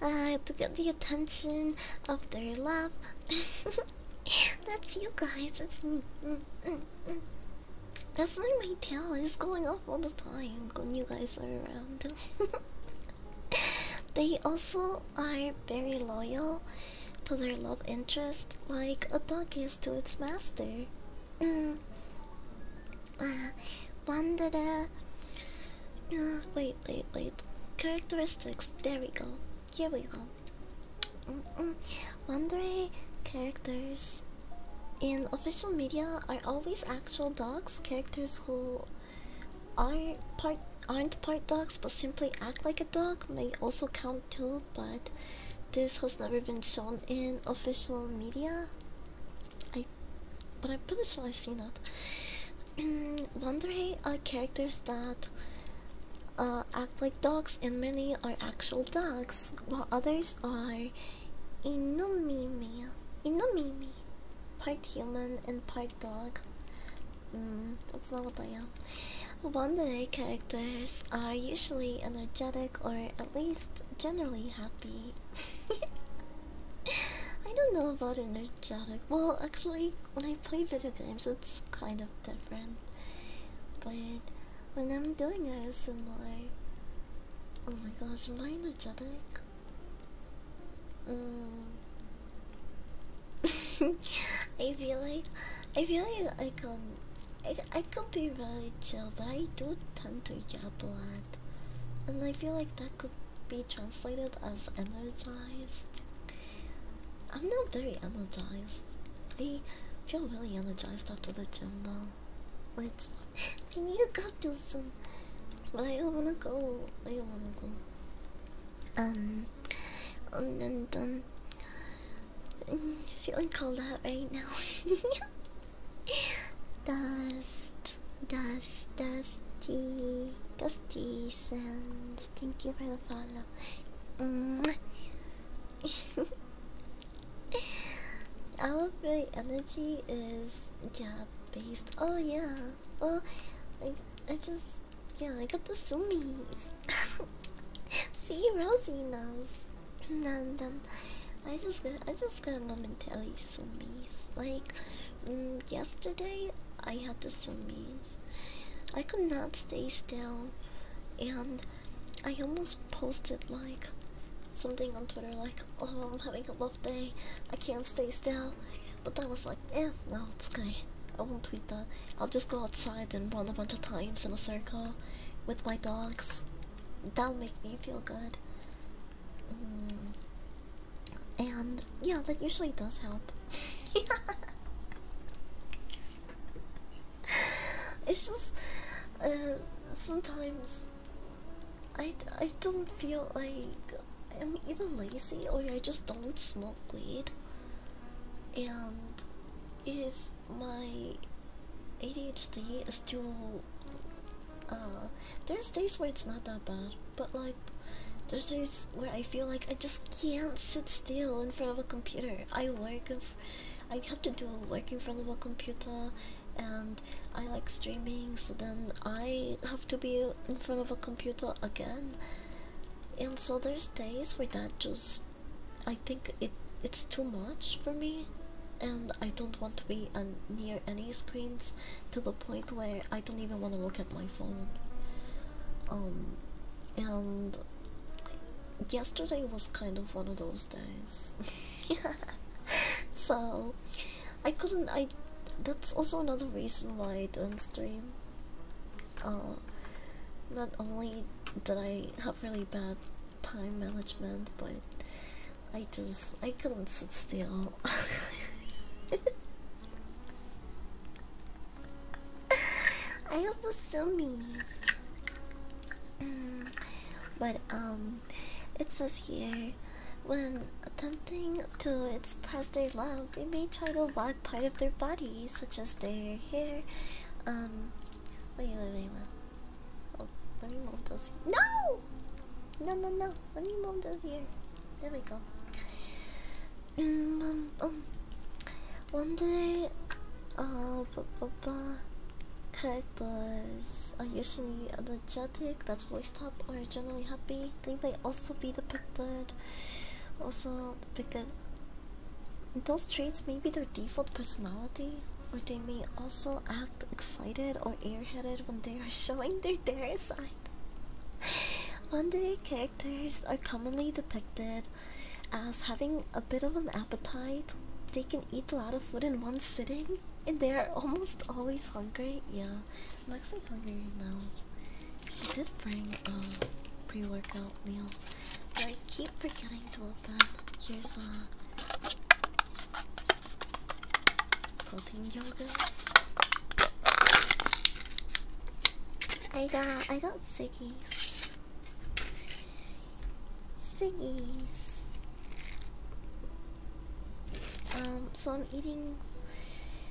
uh, to get the attention of their love. [LAUGHS] That's you guys, That's me. That's why my tail is going off all the time when you guys are around. [LAUGHS] [LAUGHS] they also are very loyal to their love interest, like a dog is to its master. Mm. Uh, one that uh, wait, wait, wait. Characteristics. There we go. Here we go. Mm -mm. Wandere characters in official media are always actual dogs, characters who I part aren't part dogs but simply act like a dog may also count too, but this has never been shown in official media. I but I'm pretty sure I've seen that. [CLEARS THROAT] Wandere are characters that uh, act like dogs and many are actual dogs while others are Inomimi. Inomimi. Part human and part dog. Mm, that's not what I am. One day characters are usually energetic or at least generally happy. [LAUGHS] I don't know about energetic. Well, actually, when I play video games, it's kind of different. But when I'm doing ASMR, oh my gosh, am I energetic? Mm, [LAUGHS] I feel like I feel like I can um, I I could be really chill, but I do tend to yap a lot, and I feel like that could be translated as energized. I'm not very energized. I feel really energized after the gym though, which we [LAUGHS] need to go to soon, but I don't wanna go. I don't wanna go. Um, I'm feeling cold out right now. [LAUGHS] Dust, dust, dusty, dusty sense. Thank you for the follow. [LAUGHS] All Our my energy is job based. Oh yeah. Well, like I just yeah, I got the sumis. [LAUGHS] See, Rosie knows. And um, I just got, I just got momentarily sumis. Like mm, yesterday, I had the sumis. I could not stay still, and I almost posted like something on Twitter like, "Oh, I'm having a rough day. I can't stay still. But I was like, eh, no, it's okay. I won't tweet that. I'll just go outside and run a bunch of times in a circle with my dogs. That'll make me feel good. Mm. And yeah, that usually does help. [LAUGHS] it's just uh, sometimes I, I don't feel like I'm either lazy or I just don't smoke weed and if my ADHD is too uh, there's days where it's not that bad, but like there's days where I feel like I just can't sit still in front of a computer. I work in I have to do work in front of a computer and I like streaming so then I have to be in front of a computer again and so there's days where that just i think it it's too much for me and i don't want to be near any screens to the point where i don't even want to look at my phone um and yesterday was kind of one of those days [LAUGHS] so i couldn't i that's also another reason why i do not stream uh, not only did I have really bad time management, but I just I couldn't sit still. [LAUGHS] I have the Sumis. Mm, but um, it says here, when attempting to express their love, they may try to lock part of their body, such as their hair. Um, wait, wait, wait, wait. Oh, let me move those. No! No, no, no. Let me move those here. There we go. Mm, um, um. One day, uh, blah, blah, blah. Cats are usually energetic, that's voice top, or generally happy. They may also be depicted. Also depicted those traits may be their default personality, or they may also act excited or airheaded when they are [LAUGHS] showing their dare side. Monday characters are commonly depicted as having a bit of an appetite. They can eat a lot of food in one sitting, and they are almost always hungry. Yeah, I'm actually hungry now. I did bring a um, pre-workout meal, but I keep forgetting to open. Here's a uh, protein yogurt. I got I got ciggies. Ciggies. Um, so I'm eating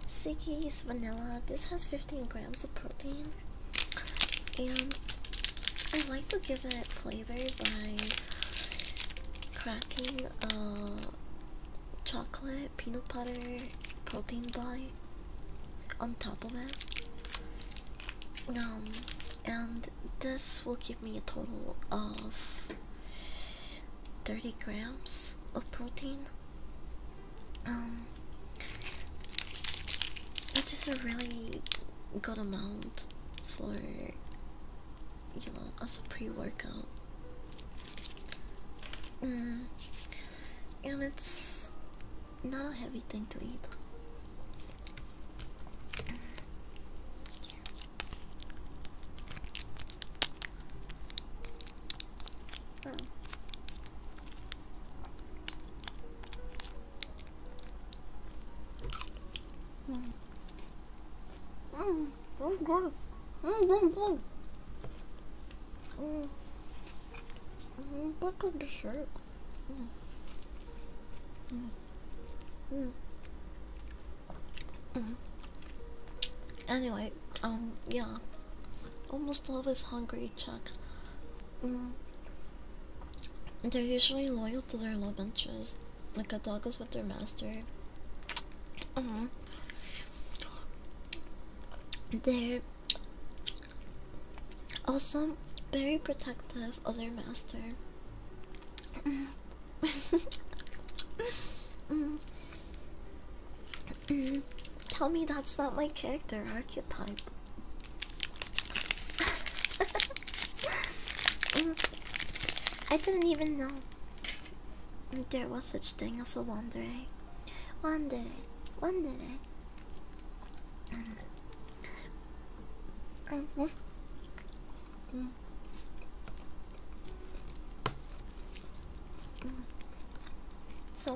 ciggies vanilla. This has 15 grams of protein and I like to give it flavor by cracking uh, chocolate, peanut butter, protein bar on top of it. Um, and this will give me a total of 30 grams of protein um, just a really good amount for you know as a pre-workout. Mm, and it's not a heavy thing to eat. Oh. Mm. Mm, that's good. Mm, that's good. Mm. Mm, back of the shirt. Mm. Anyway, um, yeah. Almost always hungry, Chuck. Mm. They're usually loyal to their love interest, like a dog is with their master. Uh mm-hmm. -huh. They're also very protective of their master. Mm-hmm. [LAUGHS] Mm-hmm. Tell me that's not my character archetype. [LAUGHS] Mm. I didn't even know there was such thing as a wanderer. Wanderer, wanderer. Mm -hmm. Mm. So,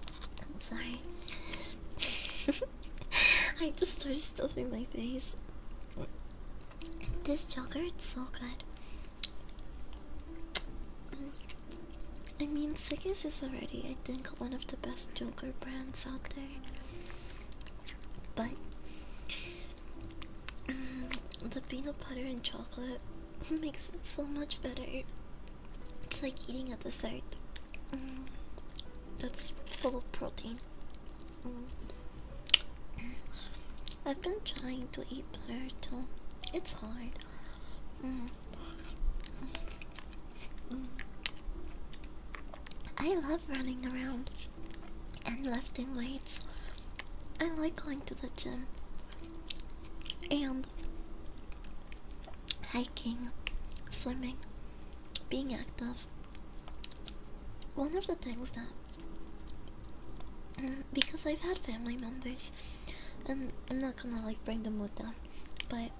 i sorry. [LAUGHS] I just started stuffing my face. This yogurt is so good. I mean, Sigis is already, I think, one of the best yogurt brands out there. But the peanut butter and chocolate [LAUGHS] makes it so much better. It's like eating a dessert mm. that's full of protein. Mm. I've been trying to eat butter too. It's hard. Mm. Mm. I love running around and lifting weights. I like going to the gym and hiking, swimming, being active. One of the things that mm, because I've had family members, and I'm not gonna like bring them with them, but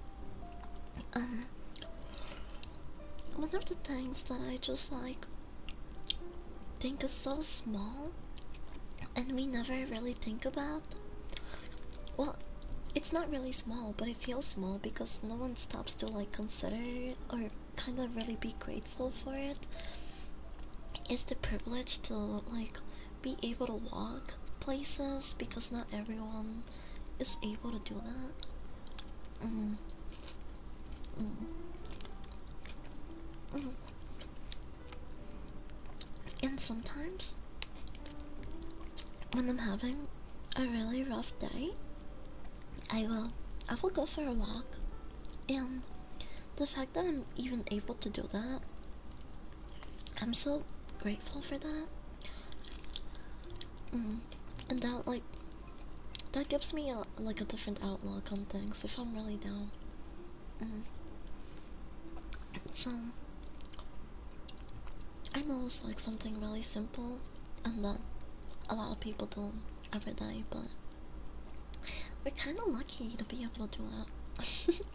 um, one of the things that I just like think is so small and we never really think about. Well, it's not really small, but it feels small because no one stops to like consider or kind of really be grateful for it. It's the privilege to like be able to walk places because not everyone is able to do that. Mm-hmm. Mm-hmm. Mm-hmm. And sometimes, when I'm having a really rough day, I will I will go for a walk, and the fact that I'm even able to do that, I'm so grateful for that. Mm, and that like that gives me like a different outlook on things if I'm really down. Mm-hmm. So I know it's like something really simple and that a lot of people do every every day, but we're kind of lucky to be able to do that. [LAUGHS]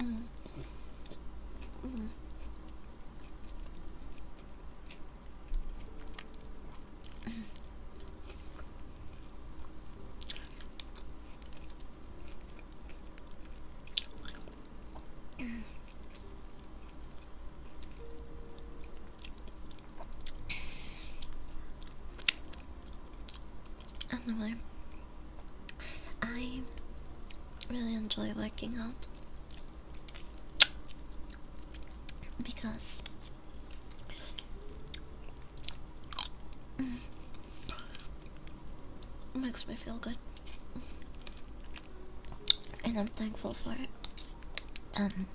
Mm-hmm. Mm-hmm. Anyway, I really enjoy working out because it Makes me feel good, and I'm thankful for it. Um,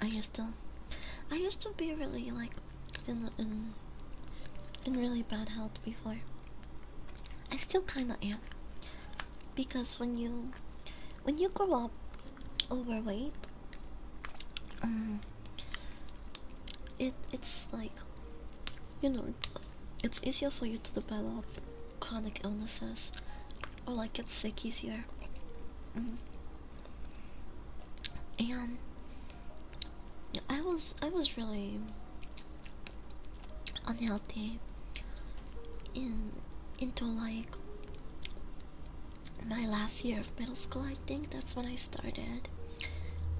I used to, I used to be really like in in in really bad health before. I still kind of am, because when you when you grow up overweight, um, it it's like you know it's easier for you to develop chronic illnesses or like get sick easier mm-hmm. and i was i was really unhealthy in into like my last year of middle school, I think that's when I started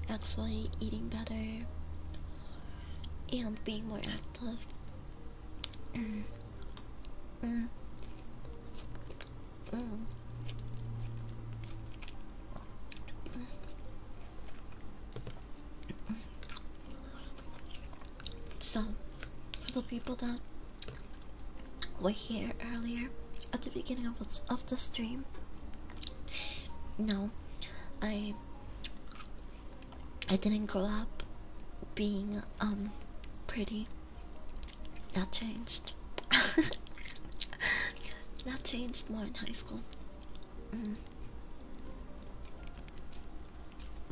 actually eating better and being more active. So, for people that we were here earlier at the beginning of of the stream. No, I I didn't grow up being um pretty. That changed. [LAUGHS] that changed more in high school. Mm.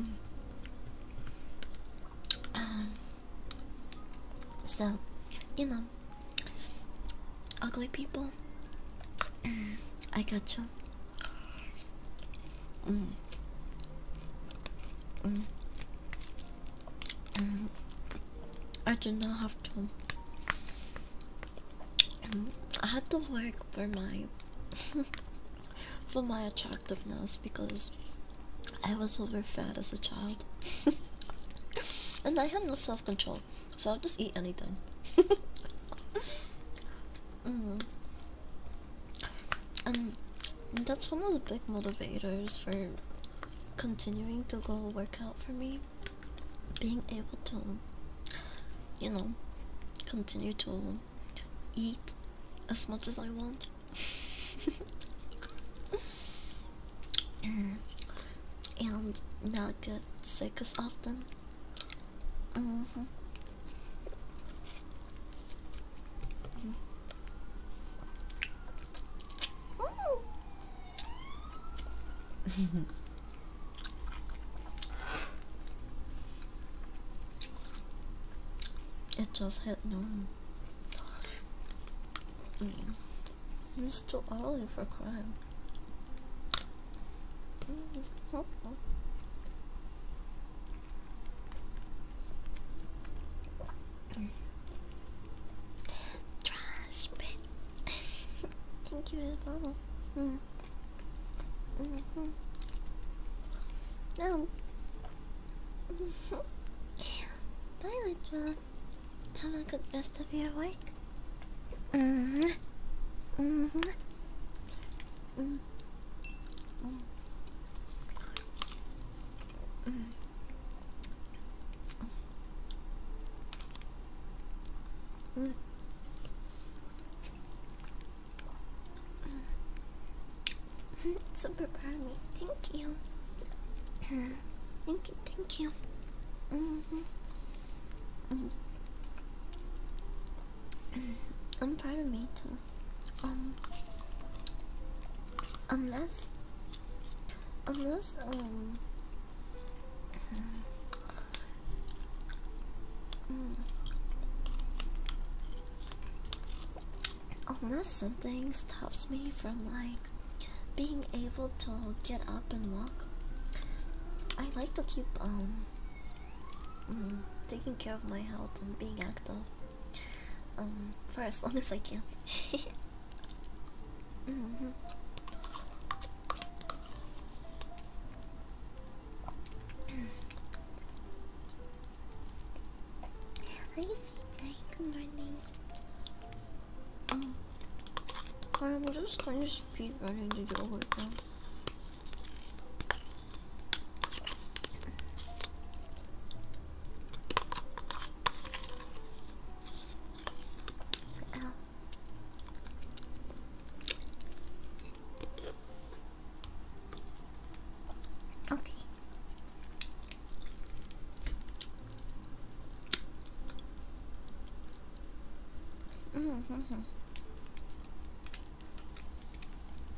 Mm. Um, so, you know, ugly people, mm, I got you. Mm. Mm. I do not have to. I have to work for my [LAUGHS] for my attractiveness because I was over fat as a child. [LAUGHS] and I had no self control, so I'll just eat anything. [LAUGHS] Mm-hmm. And that's one of the big motivators for continuing to go work out for me. Being able to, you know, continue to eat as much as I want. [LAUGHS] and not get sick as often. Mm-hmm. [LAUGHS] it just hit no. He was still Oliver for crime. Trash bit. [LAUGHS] Thank you, Bubble. Mm. Mm -hmm. No. [LAUGHS] Bye, Electra. Have a good rest of your work. Mm -hmm. Mm -hmm. Mm. Mm. Mm. Mm. Super proud of me. Thank you. Thank thank you, mm-hmm. Mm-hmm. I'm proud of me too. Um, unless, unless um, mm, unless something stops me from like being able to get up and walk. I like to keep um mm, taking care of my health and being active um for as long as I can. good [LAUGHS] mm-hmm. [CLEARS THROAT] morning. I'm just going to speed running to do right now. Okay. Mm -hmm.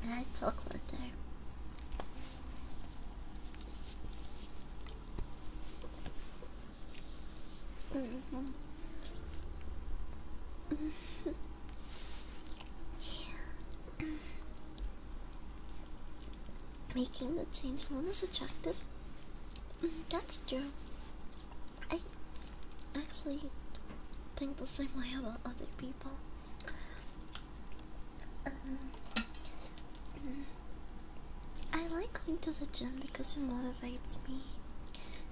I chocolate there. Mm -hmm. yeah. Mm-hmm. Making the change known as attractive that's true. I actually think the same way about other people. Um, I like going to the gym because it motivates me.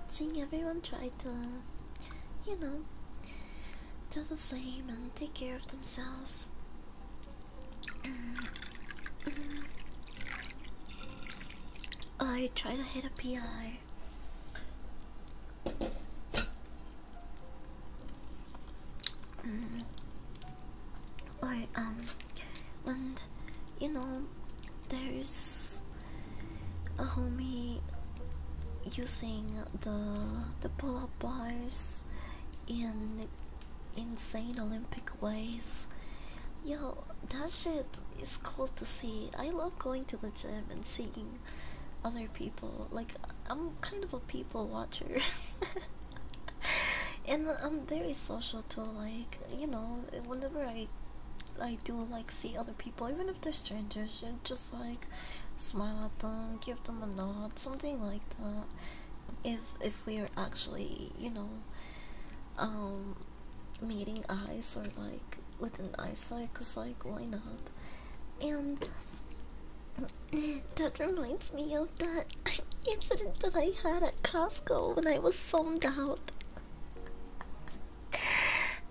Seeing everyone try to, you know, do the same and take care of themselves I try to hit a PI. Mm. um, when you know there's a homie using the the pull-up bars in insane Olympic ways. Yo, that shit is cool to see. I love going to the gym and seeing other people. Like, I'm kind of a people watcher. [LAUGHS] and I'm very social too. Like, you know, whenever I I do like see other people, even if they're strangers, just like smile at them, give them a nod, something like that. If if we are actually, you know, um meeting eyes or like with an eyesight cause like why not and that reminds me of that [LAUGHS] incident that I had at Costco when I was summed out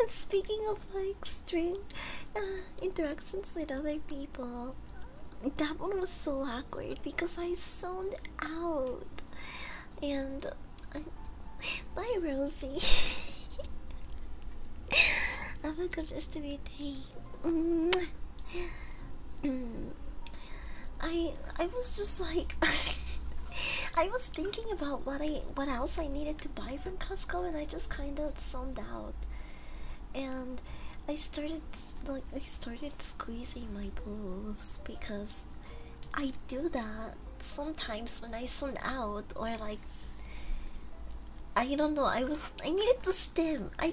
and speaking of like strange uh, interactions with other people that one was so awkward because I sold out. And I, bye, Rosie. [LAUGHS] Have a good rest of your day. Mm. I I was just like [LAUGHS] I was thinking about what I what else I needed to buy from Costco and I just kind of summed out. And I started like I started squeezing my boobs because I do that sometimes when I zone out or like I don't know I was I needed to stem I [LAUGHS]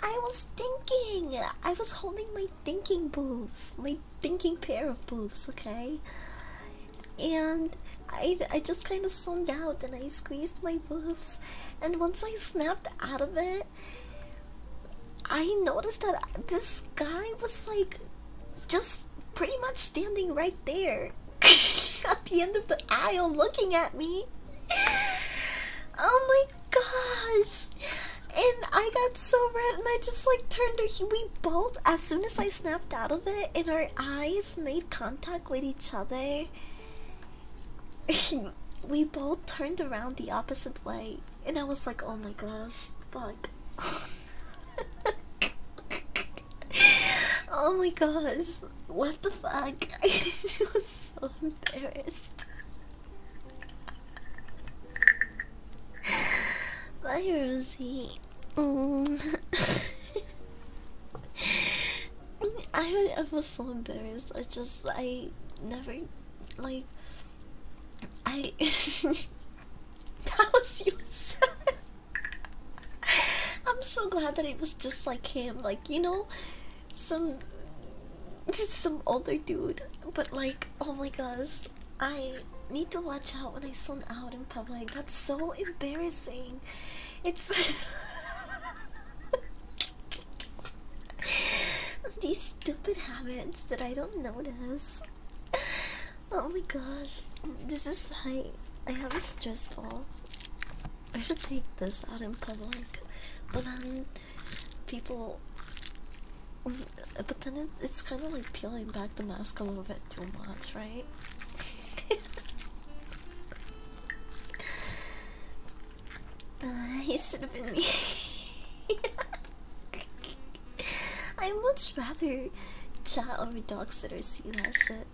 I was thinking I was holding my thinking boobs my thinking pair of boobs okay and I I just kind of zoned out and I squeezed my my and once I snapped out of it, I noticed that this guy was like just pretty much standing right there [LAUGHS] at the end of the aisle looking at me. Oh my gosh! And I got so red, and I just like turned her. We both, as soon as I snapped out of it, and our eyes made contact with each other. [LAUGHS] we both turned around the opposite way, and I was like, oh my gosh, fuck. [LAUGHS] oh my gosh, what the fuck? [LAUGHS] I was so embarrassed. Bye, Rosie. Mm. I, was so embarrassed. I just I never like I [LAUGHS] that was you. [LAUGHS] I'm so glad that it was just like him, like you know, some just some older dude. But like, oh my gosh, I need to watch out when I zone out in public. That's so embarrassing. It's [LAUGHS] [LAUGHS] These stupid habits that I don't notice. Oh my gosh, this is like I have a stress ball. I should take this out in public, but then people. But then it's kind of like peeling back the mask a little bit too much, right? [LAUGHS] he uh, should have been me. I much rather chat over dog sitter see that shit.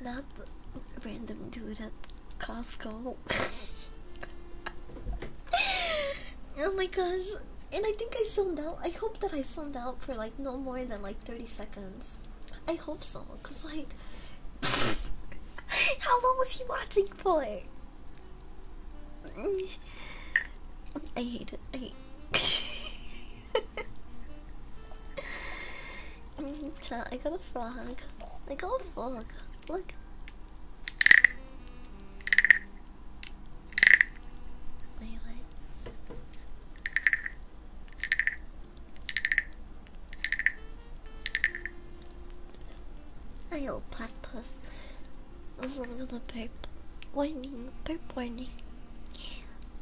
Not the random dude at Costco. oh my gosh. And I think I zoned out. I hope that I zoned out for like no more than like 30 seconds. I hope so. Cause like [LAUGHS] How long was he watching for? I hate it. I hate it. [LAUGHS] I got a frog. I got a frog. Look. I will practice. Cause I'm gonna burp. Warning, burp warning.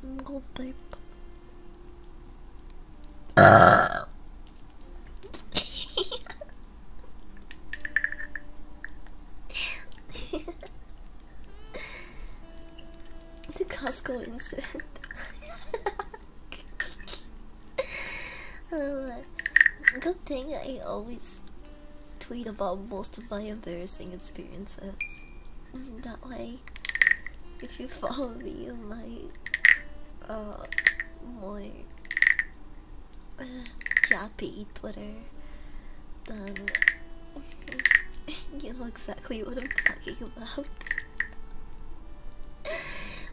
I'm gonna burp. Uh. the Costco incident. [LAUGHS] [LAUGHS] uh, [LAUGHS] good thing I always tweet about most of my embarrassing experiences. That way, if you [LAUGHS] follow me on my uh, [SIGHS] Twitter, [LAUGHS] you know exactly what I'm talking about.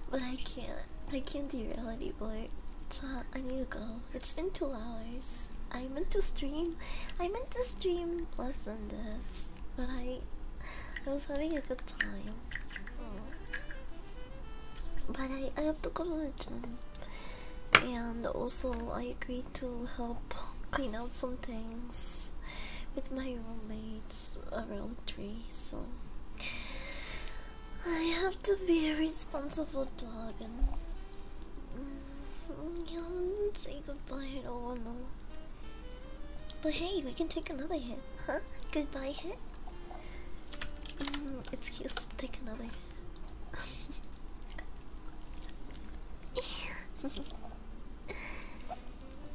but I can't I can't derail anymore. Chat, I need to go. It's been two hours. I meant to stream. I meant to stream less than this, but I, I was having a good time. But I, I have to go to gym, and also I agreed to help clean out some things with my roommates around three. So I have to be a responsible dog and mm, say goodbye to Ormo. But hey, we can take another hit, huh? Goodbye hit. Mm, it's cute to take another. [LAUGHS]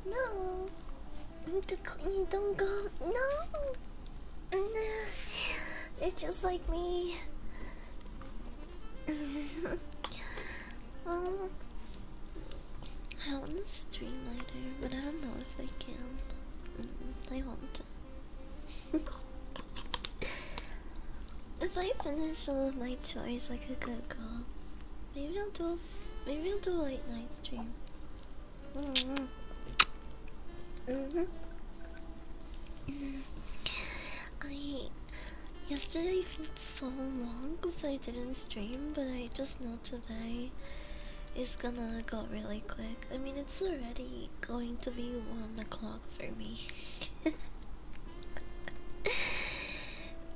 no. You don't go. No. they just like me. [LAUGHS] um, I want a stream lighter, but I don't know if I can. I want to. if I finish all of my chores like a good girl, maybe I'll do. maybe I'll do a late night stream. Mm-hmm. I yesterday felt so long because I didn't stream, but I just know today is gonna go really quick. I mean, it's already going to be one o'clock for me. [LAUGHS]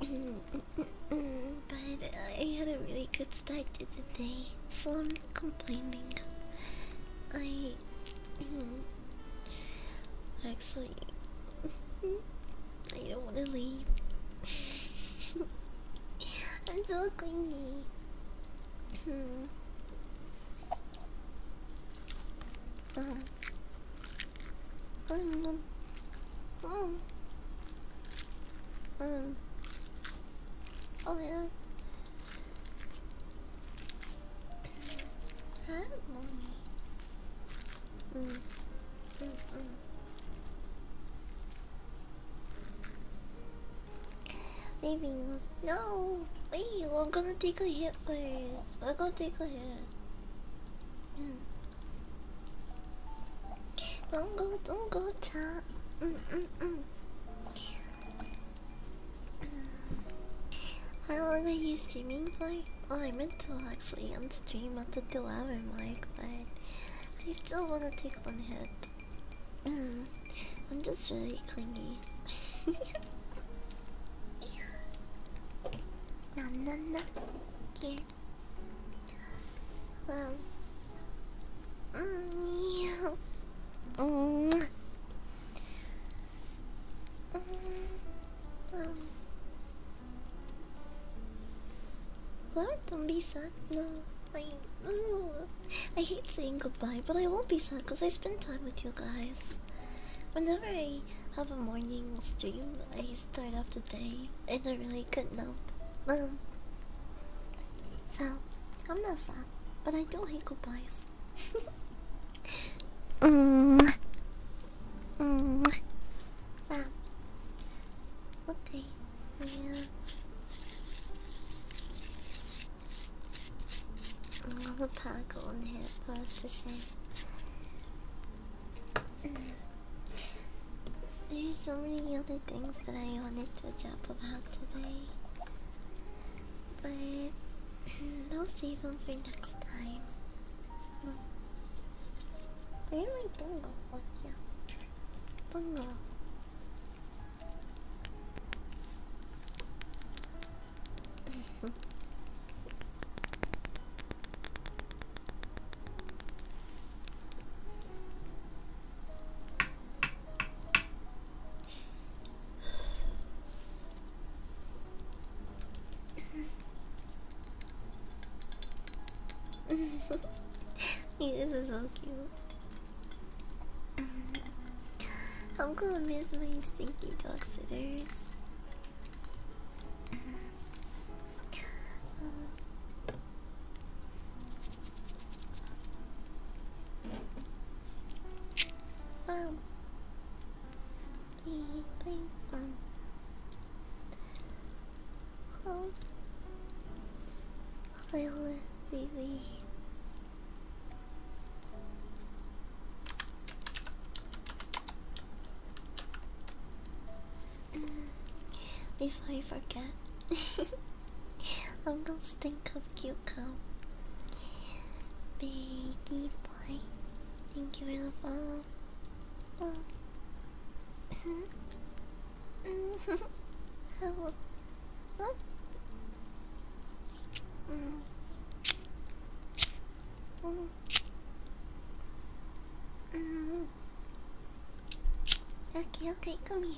Mm, mm, mm, but I had a really good start to the day, so complaining. I hmm, actually I don't want to leave. [LAUGHS] I'm so clingy. oh. Um, um, um, Oh my Leaving us. No! Wait, we're gonna take a hit please. we We're gonna take a hit. Don't go, don't go, chat. Mm -mm -mm. How long are you streaming for? Oh, I meant to actually unstream at the two hour but I still want to take one hit. Mm, I'm just really clingy. No, no, no. Here. Well, Mm, yeah. mm. Mm, um. What? Don't be sad. No, I. I hate saying goodbye, but I won't be sad because I spend time with you guys. Whenever I have a morning stream, I start off the day and I really good note. Um. So, I'm not sad but I do hate goodbyes. [LAUGHS] mm. Mm. Ah. Okay. Yeah. i pack on here for to share. There's so many other things that I wanted to talk about today. But hmm, I'll save them for next time. Where did my bungo? Oh yeah. Bungo this [LAUGHS] is so cute. I'm gonna miss my stinky dog sitters. Mom, please, please, mom. Oh, wait, Before you forget. [LAUGHS] I'm gonna stink of cucumber. Baggy boy. Thank you for the follow. Hello. Oh. Mm. Mm. Mm. Okay, okay, come here.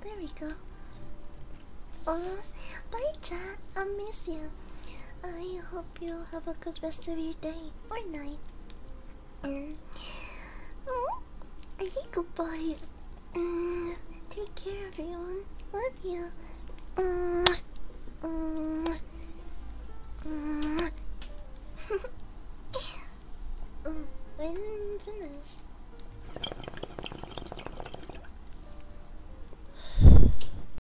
there we go. Oh, bye, chat. I miss you. I hope hope you have a good rest of your day or night. Oh, I hate goodbyes. Mm. Take care, everyone. Love you. Mm. Mm. Mm. I didn't finish.